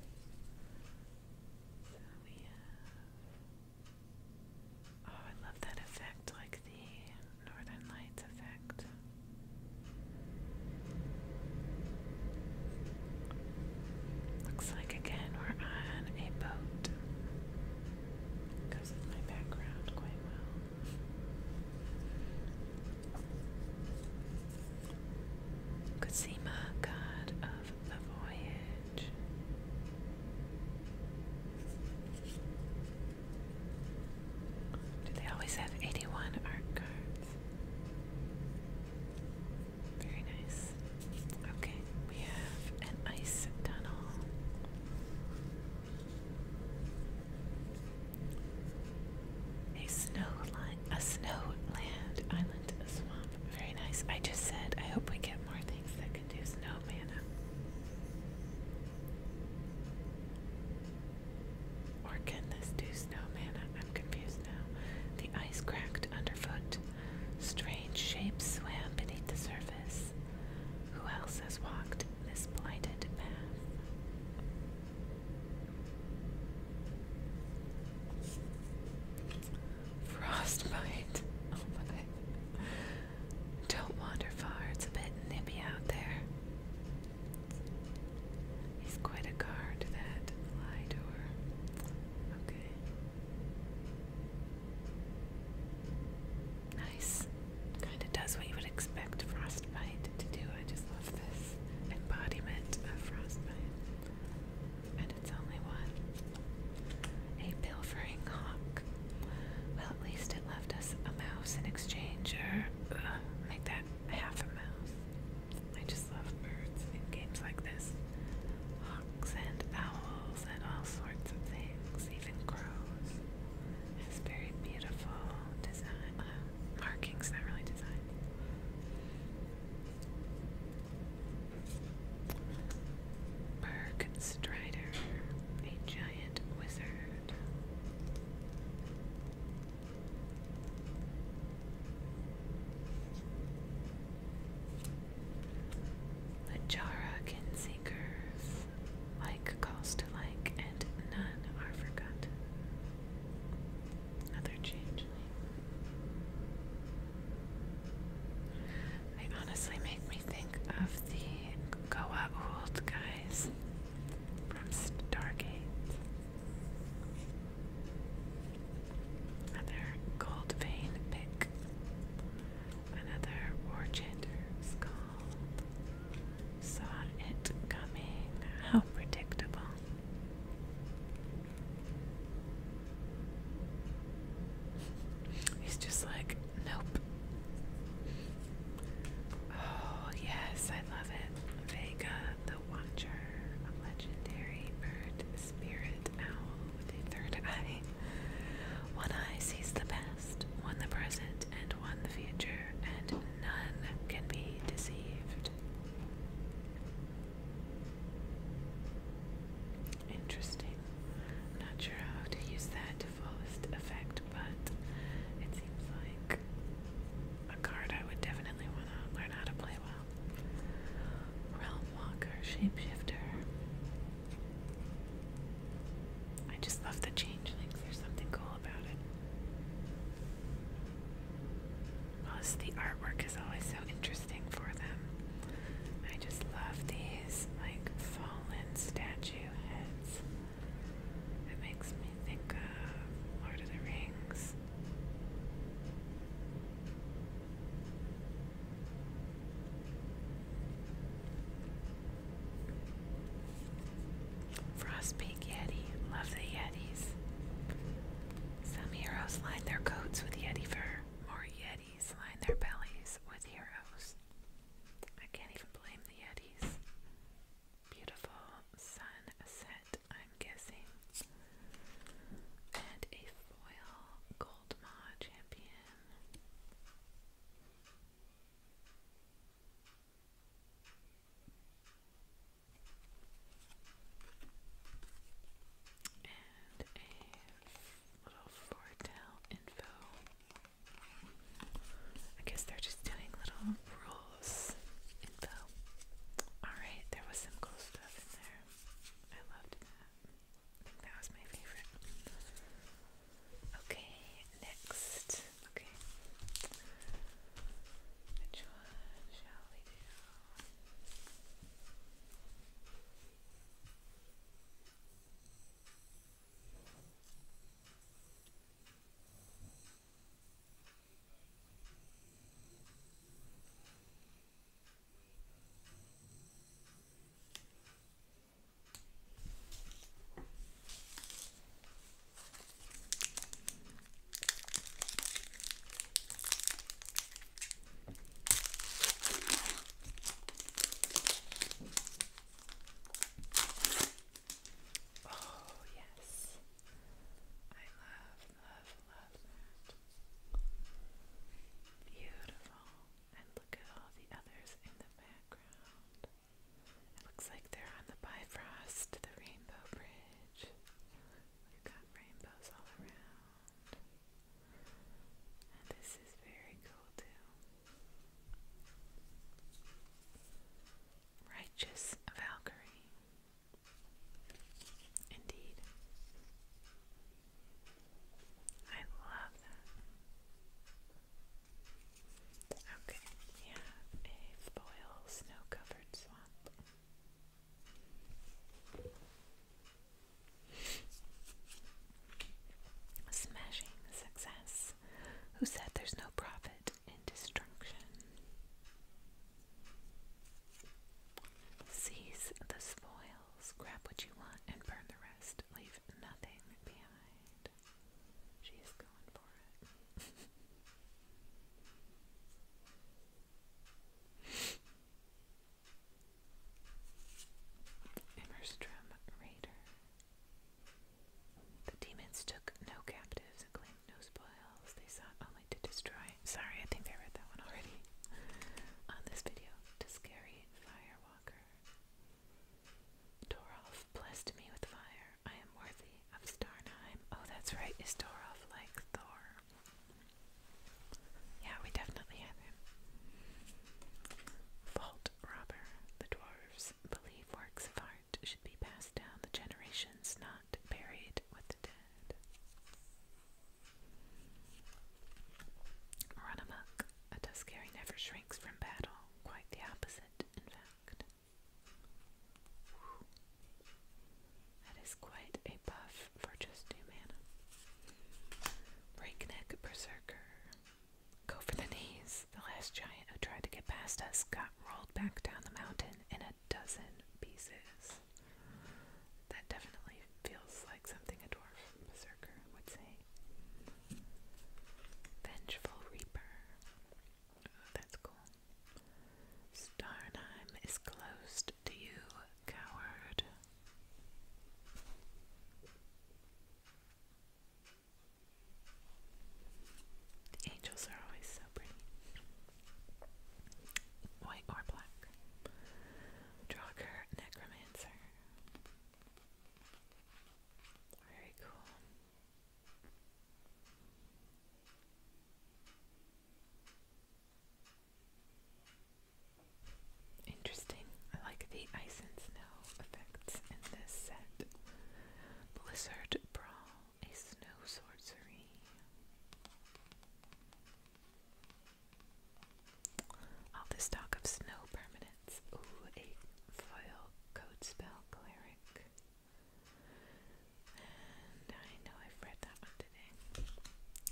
Oh, I love that effect, like the Northern Lights effect. Looks like again we're on a boat. Goes my background quite well. Cosima, god of the voyage. Do they always have 81 art cards? Very nice. Okay, we have an ice tunnel. A snow line, a snow land island, a swamp. Very nice. I just said I hope we get more things that can do snow mana. Or can this do snow mana? I'm confused. The ice cracked underfoot. Strange shapes swam beneath the surface. Who else has walked this blighted path? Frostbite. <laughs> Oh my. Don't wander far, it's a bit nippy out there. He's quite a guard, that lie door. Okay. Nice. Kind of does what you would expect frostbite to do. I just love this embodiment of frostbite. And it's only one. A pilfering hawk. Well, at least it left us a mouse in exchange, or uh, make that half a mouse. I just love birds in games like this. Hawks and owls and all sorts of things, even crows. It's very beautiful design, uh, markings, not really design. Berg a giant wizard. The Jara can see curves, like calls to like, and none are forgotten. Another changeling. They honestly make me think of the Goa guys from Stargate. Another gold vein pick. Another orchid skull. Saw it coming. How predictable. He's just like, nope. Oh, yes, I love it. Vega, the Watcher, a legendary bird spirit owl with a third eye. One eye sees the past, one the present, and one the future, and none can be deceived. Interesting. I'm not sure how to use that to fullest effect, but it seems like a card I would definitely want to learn how to play well. Realm Walker, Shapeshifter. I just love the changelings. There's something cool about it. Plus, the artwork is always so interesting for them. I just love these, like, fallen statue heads. It makes me think of Lord of the Rings. Frostbeak Yeti. Love the Yetis. Some heroes line their coats with Yeti fur. More Yetis line their bellies with heroes. I can't even blame the Yetis. Beautiful sunset i guessing. And a foil Gold Maw champion. And a little foretell info. I guess they're just doing little rules info. Alright, there was some cool stuff in there. I loved that. I think that was my favorite. Okay, next. Okay. Which one shall we do? Oh, yes, I love love, love that. Beautiful. And look at all the others in the background. It looks like they're on the Bifrost, the Rainbow Bridge. We've got rainbows all around. this is very cool too. Righteous Valkyrie. Indeed. I love that. Okay, we have a snow covered swamp. Smashing success. Who said there's no profit in destruction? Seize the spoil grab what you want, and burn the rest. Leave nothing behind. She going for it. <laughs> Immerstrom Raider. The demons took no captives and claimed no spoils. They sought only to destroy Alright, sorry, I think I read that one already <laughs> on this video. To Firewalker. Dorolf blessed me with fire. I am worthy of Starnheim. Oh, that's right. Is Dorolf like Thor? Yeah, we definitely have him. Vault robber. The dwarves believe works of art should be passed down the generations, not buried with the dead. Run amok. A Tuscary never shrinks from battle. Quite the opposite, in fact. That is quite a buff for just two mana. Breakneck Berserker. Go for the knees. The last giant who tried to get past us got rolled back down the mountain in a dozen pieces. That definitely feels like something a dwarf berserker would say. Vengeful Reaper. Oh, that's cool. Starnheim is closed to you, coward. The angels are always so pretty. White or black. Draugr Necromancer. Very cool. Interesting. I like the ice and snow effects in this set. Blizzard Brawl, a snow sorcery. All the stock of snow permanence. Ooh, a foil code spell cleric. And I know I've read that one today.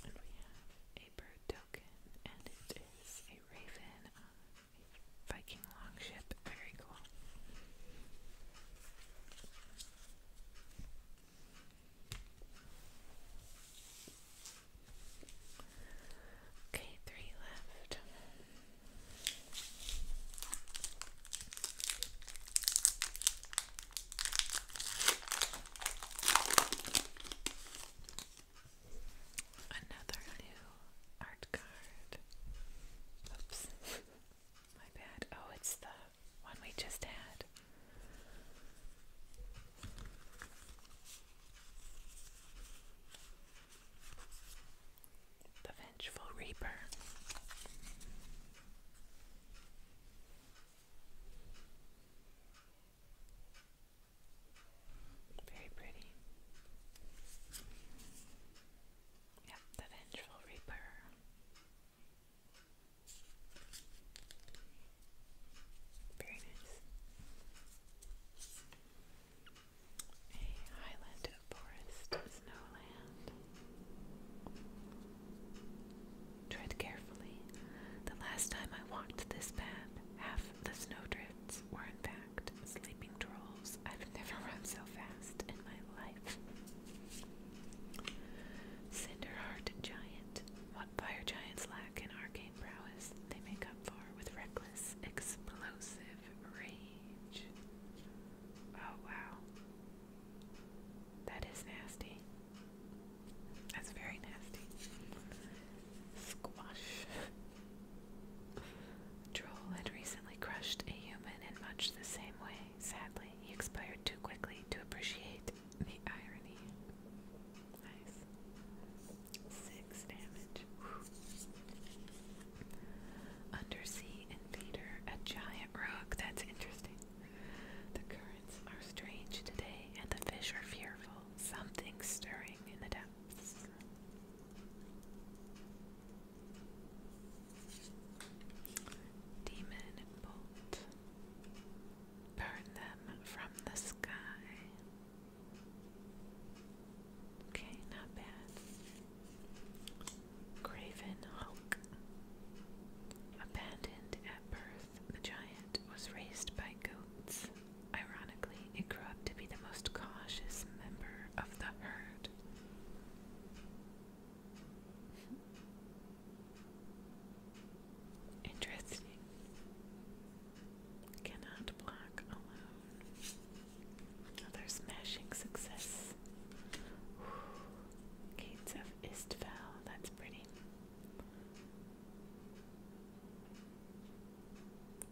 we have a bird token, and it is a raven Viking longship. Very cool. Okay, three left. Another new art card. Oops. <laughs> My bad. Oh, it's the one we just had. The Vengeful Reaper. Very pretty. Yep, the Vengeful Reaper. A highland forest snowland. Tread carefully. The last time I walked this path, half the snowdrifts were in fact sleeping trolls. I've never <laughs> run so fast in my life. Cinderheart Giant. What fire giants lack in our game main they make up for with reckless, explosive rage. Oh wow. That is nasty. That's very nasty. Squash. Droll had recently crushed a human in much the same way. Sadly, he expired too quickly to appreciate the irony. Nice. Six damage. Undersea invader, a giant rock. That's interesting. The currents are strange today, and the fish are fearful. Something stirring in the depths. Demon bolt. Burn them from the sky. Okay, not bad. Craven Hulk. Abandoned at birth, the giant was raised by goats. Ironically, it grew up to be the most cautious member of the herd. Interesting. Cannot block alone. Another smashing success. Gates of Istval. That's pretty.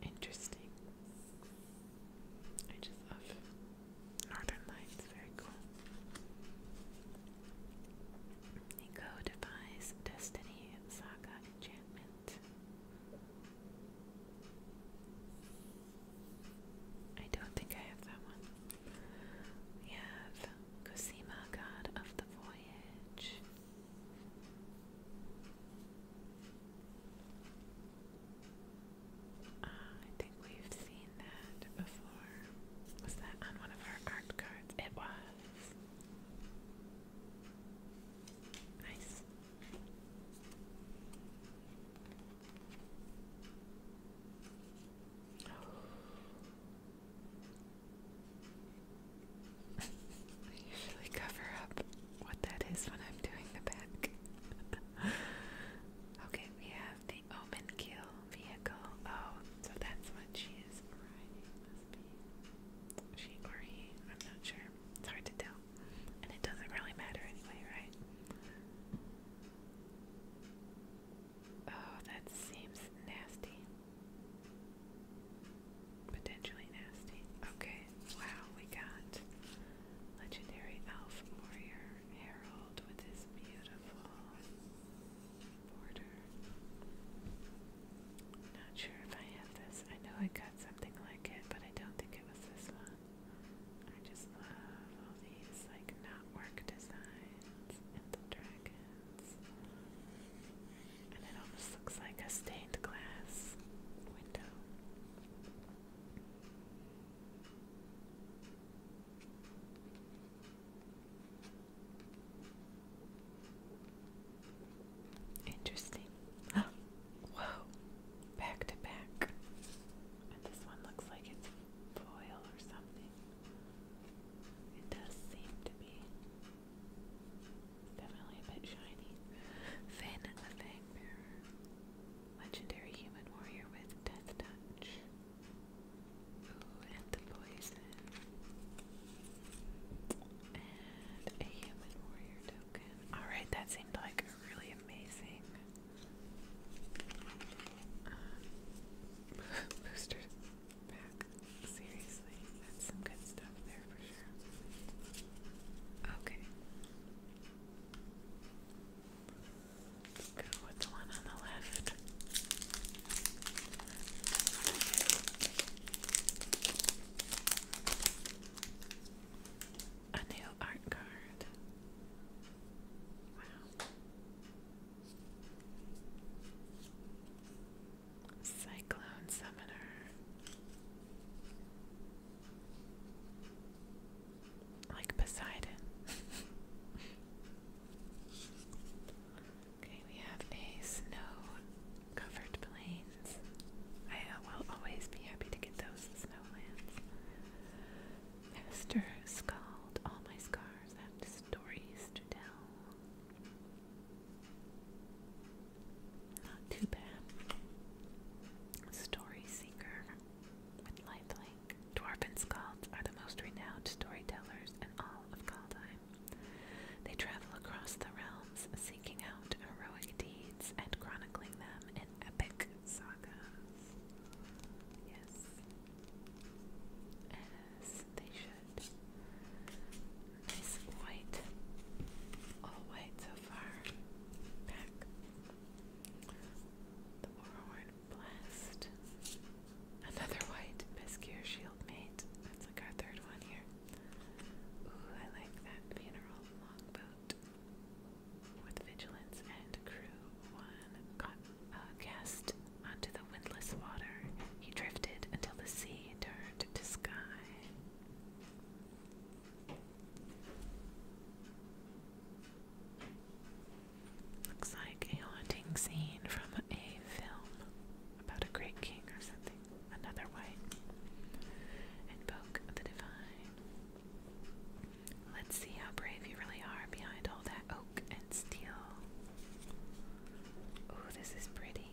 Interesting. I just love Northern Lights. Very cool. He codifies Destiny Saga enchantment. I don't think I have that one. We have Cosima, God of the Voyage. Ah, I think we've seen that before. Was that on one of our art cards? It was. I usually cover up what that is when I'm doing the back. <laughs> okay, we have the open vehicle. Oh, so that's what she is riding. She or he, I'm not sure. It's hard to tell. And it doesn't really matter anyway, right? Oh, that seems nasty. Potentially nasty. Okay, wow, we got legendary elf warrior Harold with his beautiful border. Not sure if I have this. I know I got something like it, but I don't think it was this one. I just love all these like network designs and the dragons. And it almost looks like a stained glass window. Interesting. <gasps> Whoa, back to back. And this one looks like it's foil or something. It does seem to be definitely a bit shiny. Finn the Fangbearer, legendary human warrior with death touch. Ooh, and the poison. And a human warrior token. Alright, that seemed like a really amazing um, <laughs> booster pack. Seriously, that's some good stuff there for sure. Okay. Let's go with the one on the left. A new art card. Wow. Cyclone Summoner. Like Poseidon. <laughs> Okay, we have a snow-covered plains. I uh, will always be happy to get those snowlands. Master Scald, all my scars have stories to tell. Not too bad. Story Seeker with lifelink. Dwarven Scalds are the most renowned storytellers in all of Kaldheim. They travel across the realms, seeking out heroic deeds and chronicling them in epic sagas. Yes, as they should. Nice white, all white so far. Back. The Warhorn Blast. Another white Pescure Shield That's like our third one here. Ooh, I like that funeral longboat. With vigilance and crew, one got uh, cast onto the windless water. He drifted until the sea turned to sky. Looks like a haunting scene from a film about a great king or something something, another way. Invoke the divine. Let's see how brave you really are behind all that oak and steel. Oh, this is pretty.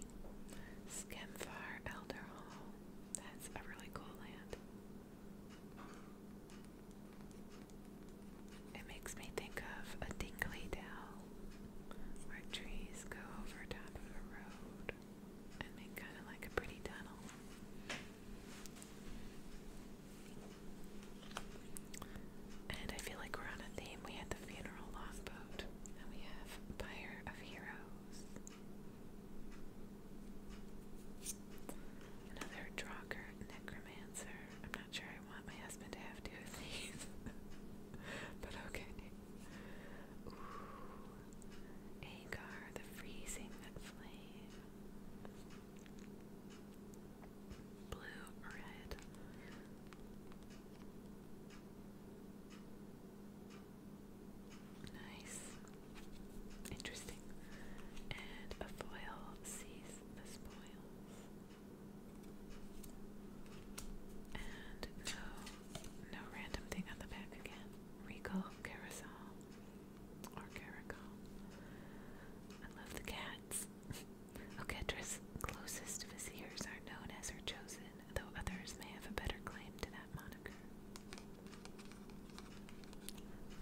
Skemfar Elder Hall. That's a really cool land. It makes me think of a dingly dell where trees go over top of a road and make kind of like a pretty tunnel. And I feel like we're on a theme. We had the funeral log boat, and we have Pyre of Heroes. Another Draugr Necromancer. I'm not sure I want my husband to have two of these. <laughs> but okay. Agar, the freezing flame. Blue, red. Nice. Interesting. And a foil sees the spoils. And no no random thing on the back again. Recall carousel or caracal. I love the cats. <laughs> Oketra's closest viziers are known as her chosen, though others may have a better claim to that moniker.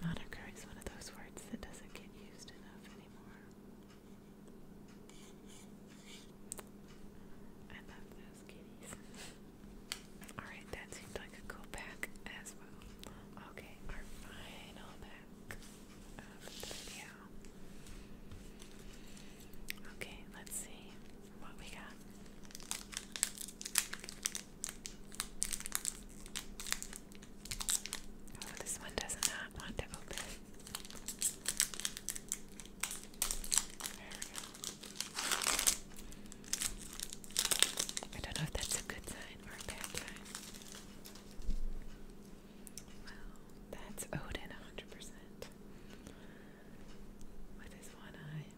Moniker is one of those words that doesn't get used enough anymore. I love this those kitties. Alright, that seemed like a cool pack as well. Okay, our final pack of the video. Okay, let's see what we got. Oh, this one does not want to open. I don't know if that's a good sign or a bad sign. Well, that's Odin 100%. With his one eye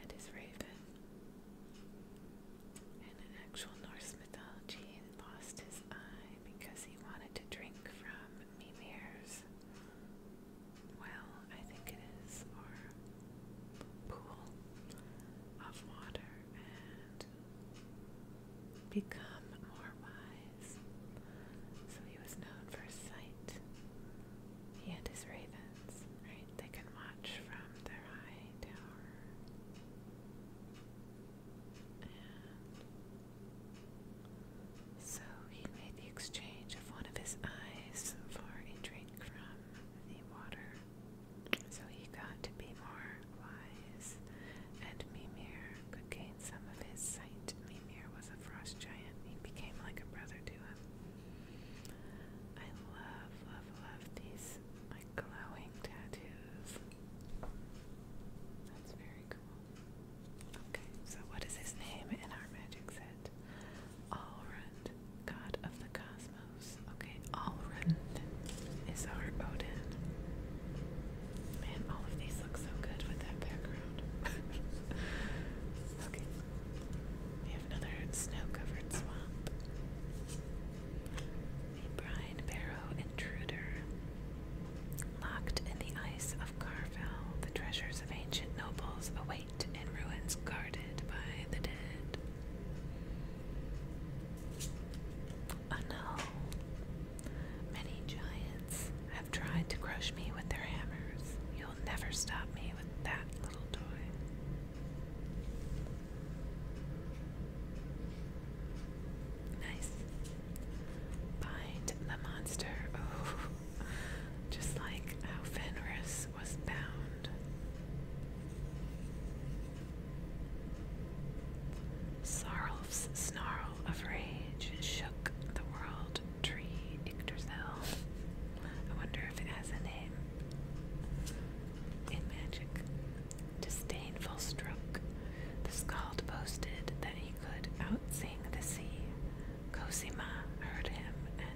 and his raven. in actual Norse mythology, he lost his eye because he wanted to drink from Mimir's well, I think it is, or pool of water and become more wise. So he was known for sight. He and his ravens, right? They can watch from their high tower. And so he made the exchange of one of his eyes for a drink from the water. So he got to be more wise, and Mimir could gain some of his sight. Mimir was a frost giant. He became like a brother to him. I love, love, love these like glowing tattoos. That's very cool. Okay, so what is his name in our magic set? Allred. god of the cosmos. Okay, Allred is our Odin. Man, all of these look so good with that background. <laughs> okay. We have another snow-covered swamp. A brine barrow intruder. Locked in the ice of Carvel, the treasures of ancient nobles await wait in ruins guarded by the dead. Oh no! Many giants have tried to crush me with their hammers. You'll never stop me with that little toy. Nice. Bind the monster. <laughs> Oh, just like how Fenris was bound. Sarlf's snarl of rage shook the world tree I wonder if it has a name in magic. Disdainful stroke. The Scald boasted that he could outsing the sea, Cosima heard him and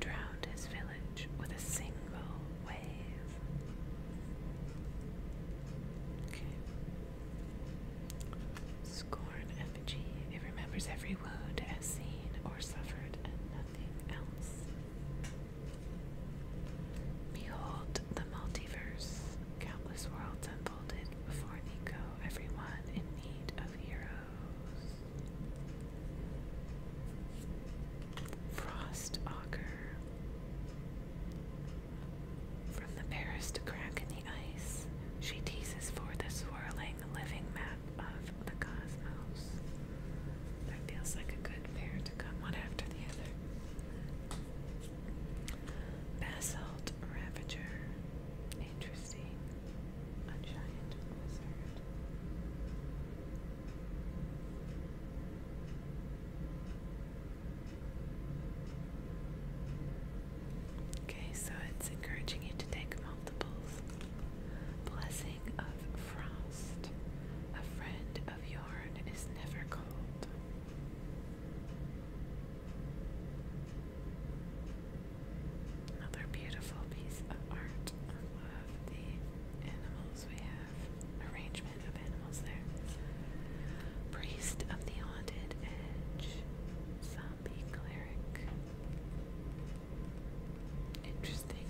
drowned his village with a single wave. Scorn effigy. It remembers every wound as seen or suffered and nothing else. Behold the multiverse. Countless worlds unfolded before Nico, everyone in need of hero. Frost Auger. From the Paris to crack in the ice, she teases for the swirling, living map of the cosmos. That feels like a good pair to come one after the other. Basalt Ravager. Interesting a giant wizard. Okay, so it's encouraging you to take multiples. Blessing of frost. A friend of yarn is never cold. Another beautiful piece of art. of the animals we have. Arrangement of animals there. Priest of the Haunted Edge. Zombie cleric. Interesting.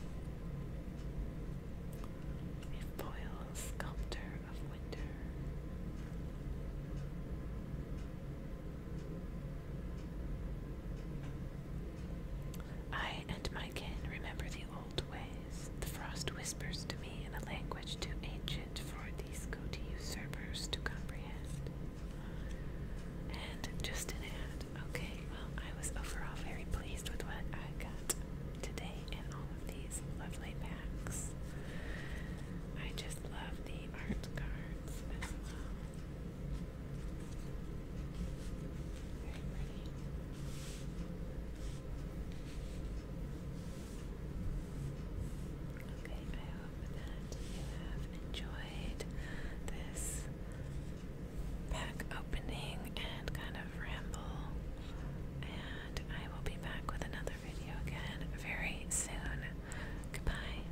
A sculptor of winter. I and my kin remember the old ways. The frost whispers to me in a language too ancient for these goatee usurpers to comprehend. And just an ad. Okay, well, I was overall very pleased with what I got today in all of these lovely packs. I just love the art cards as well. Very Okay, I hope that you have enjoyed this pack opening and kind of ramble. And I will be back with another video again very soon. Goodbye.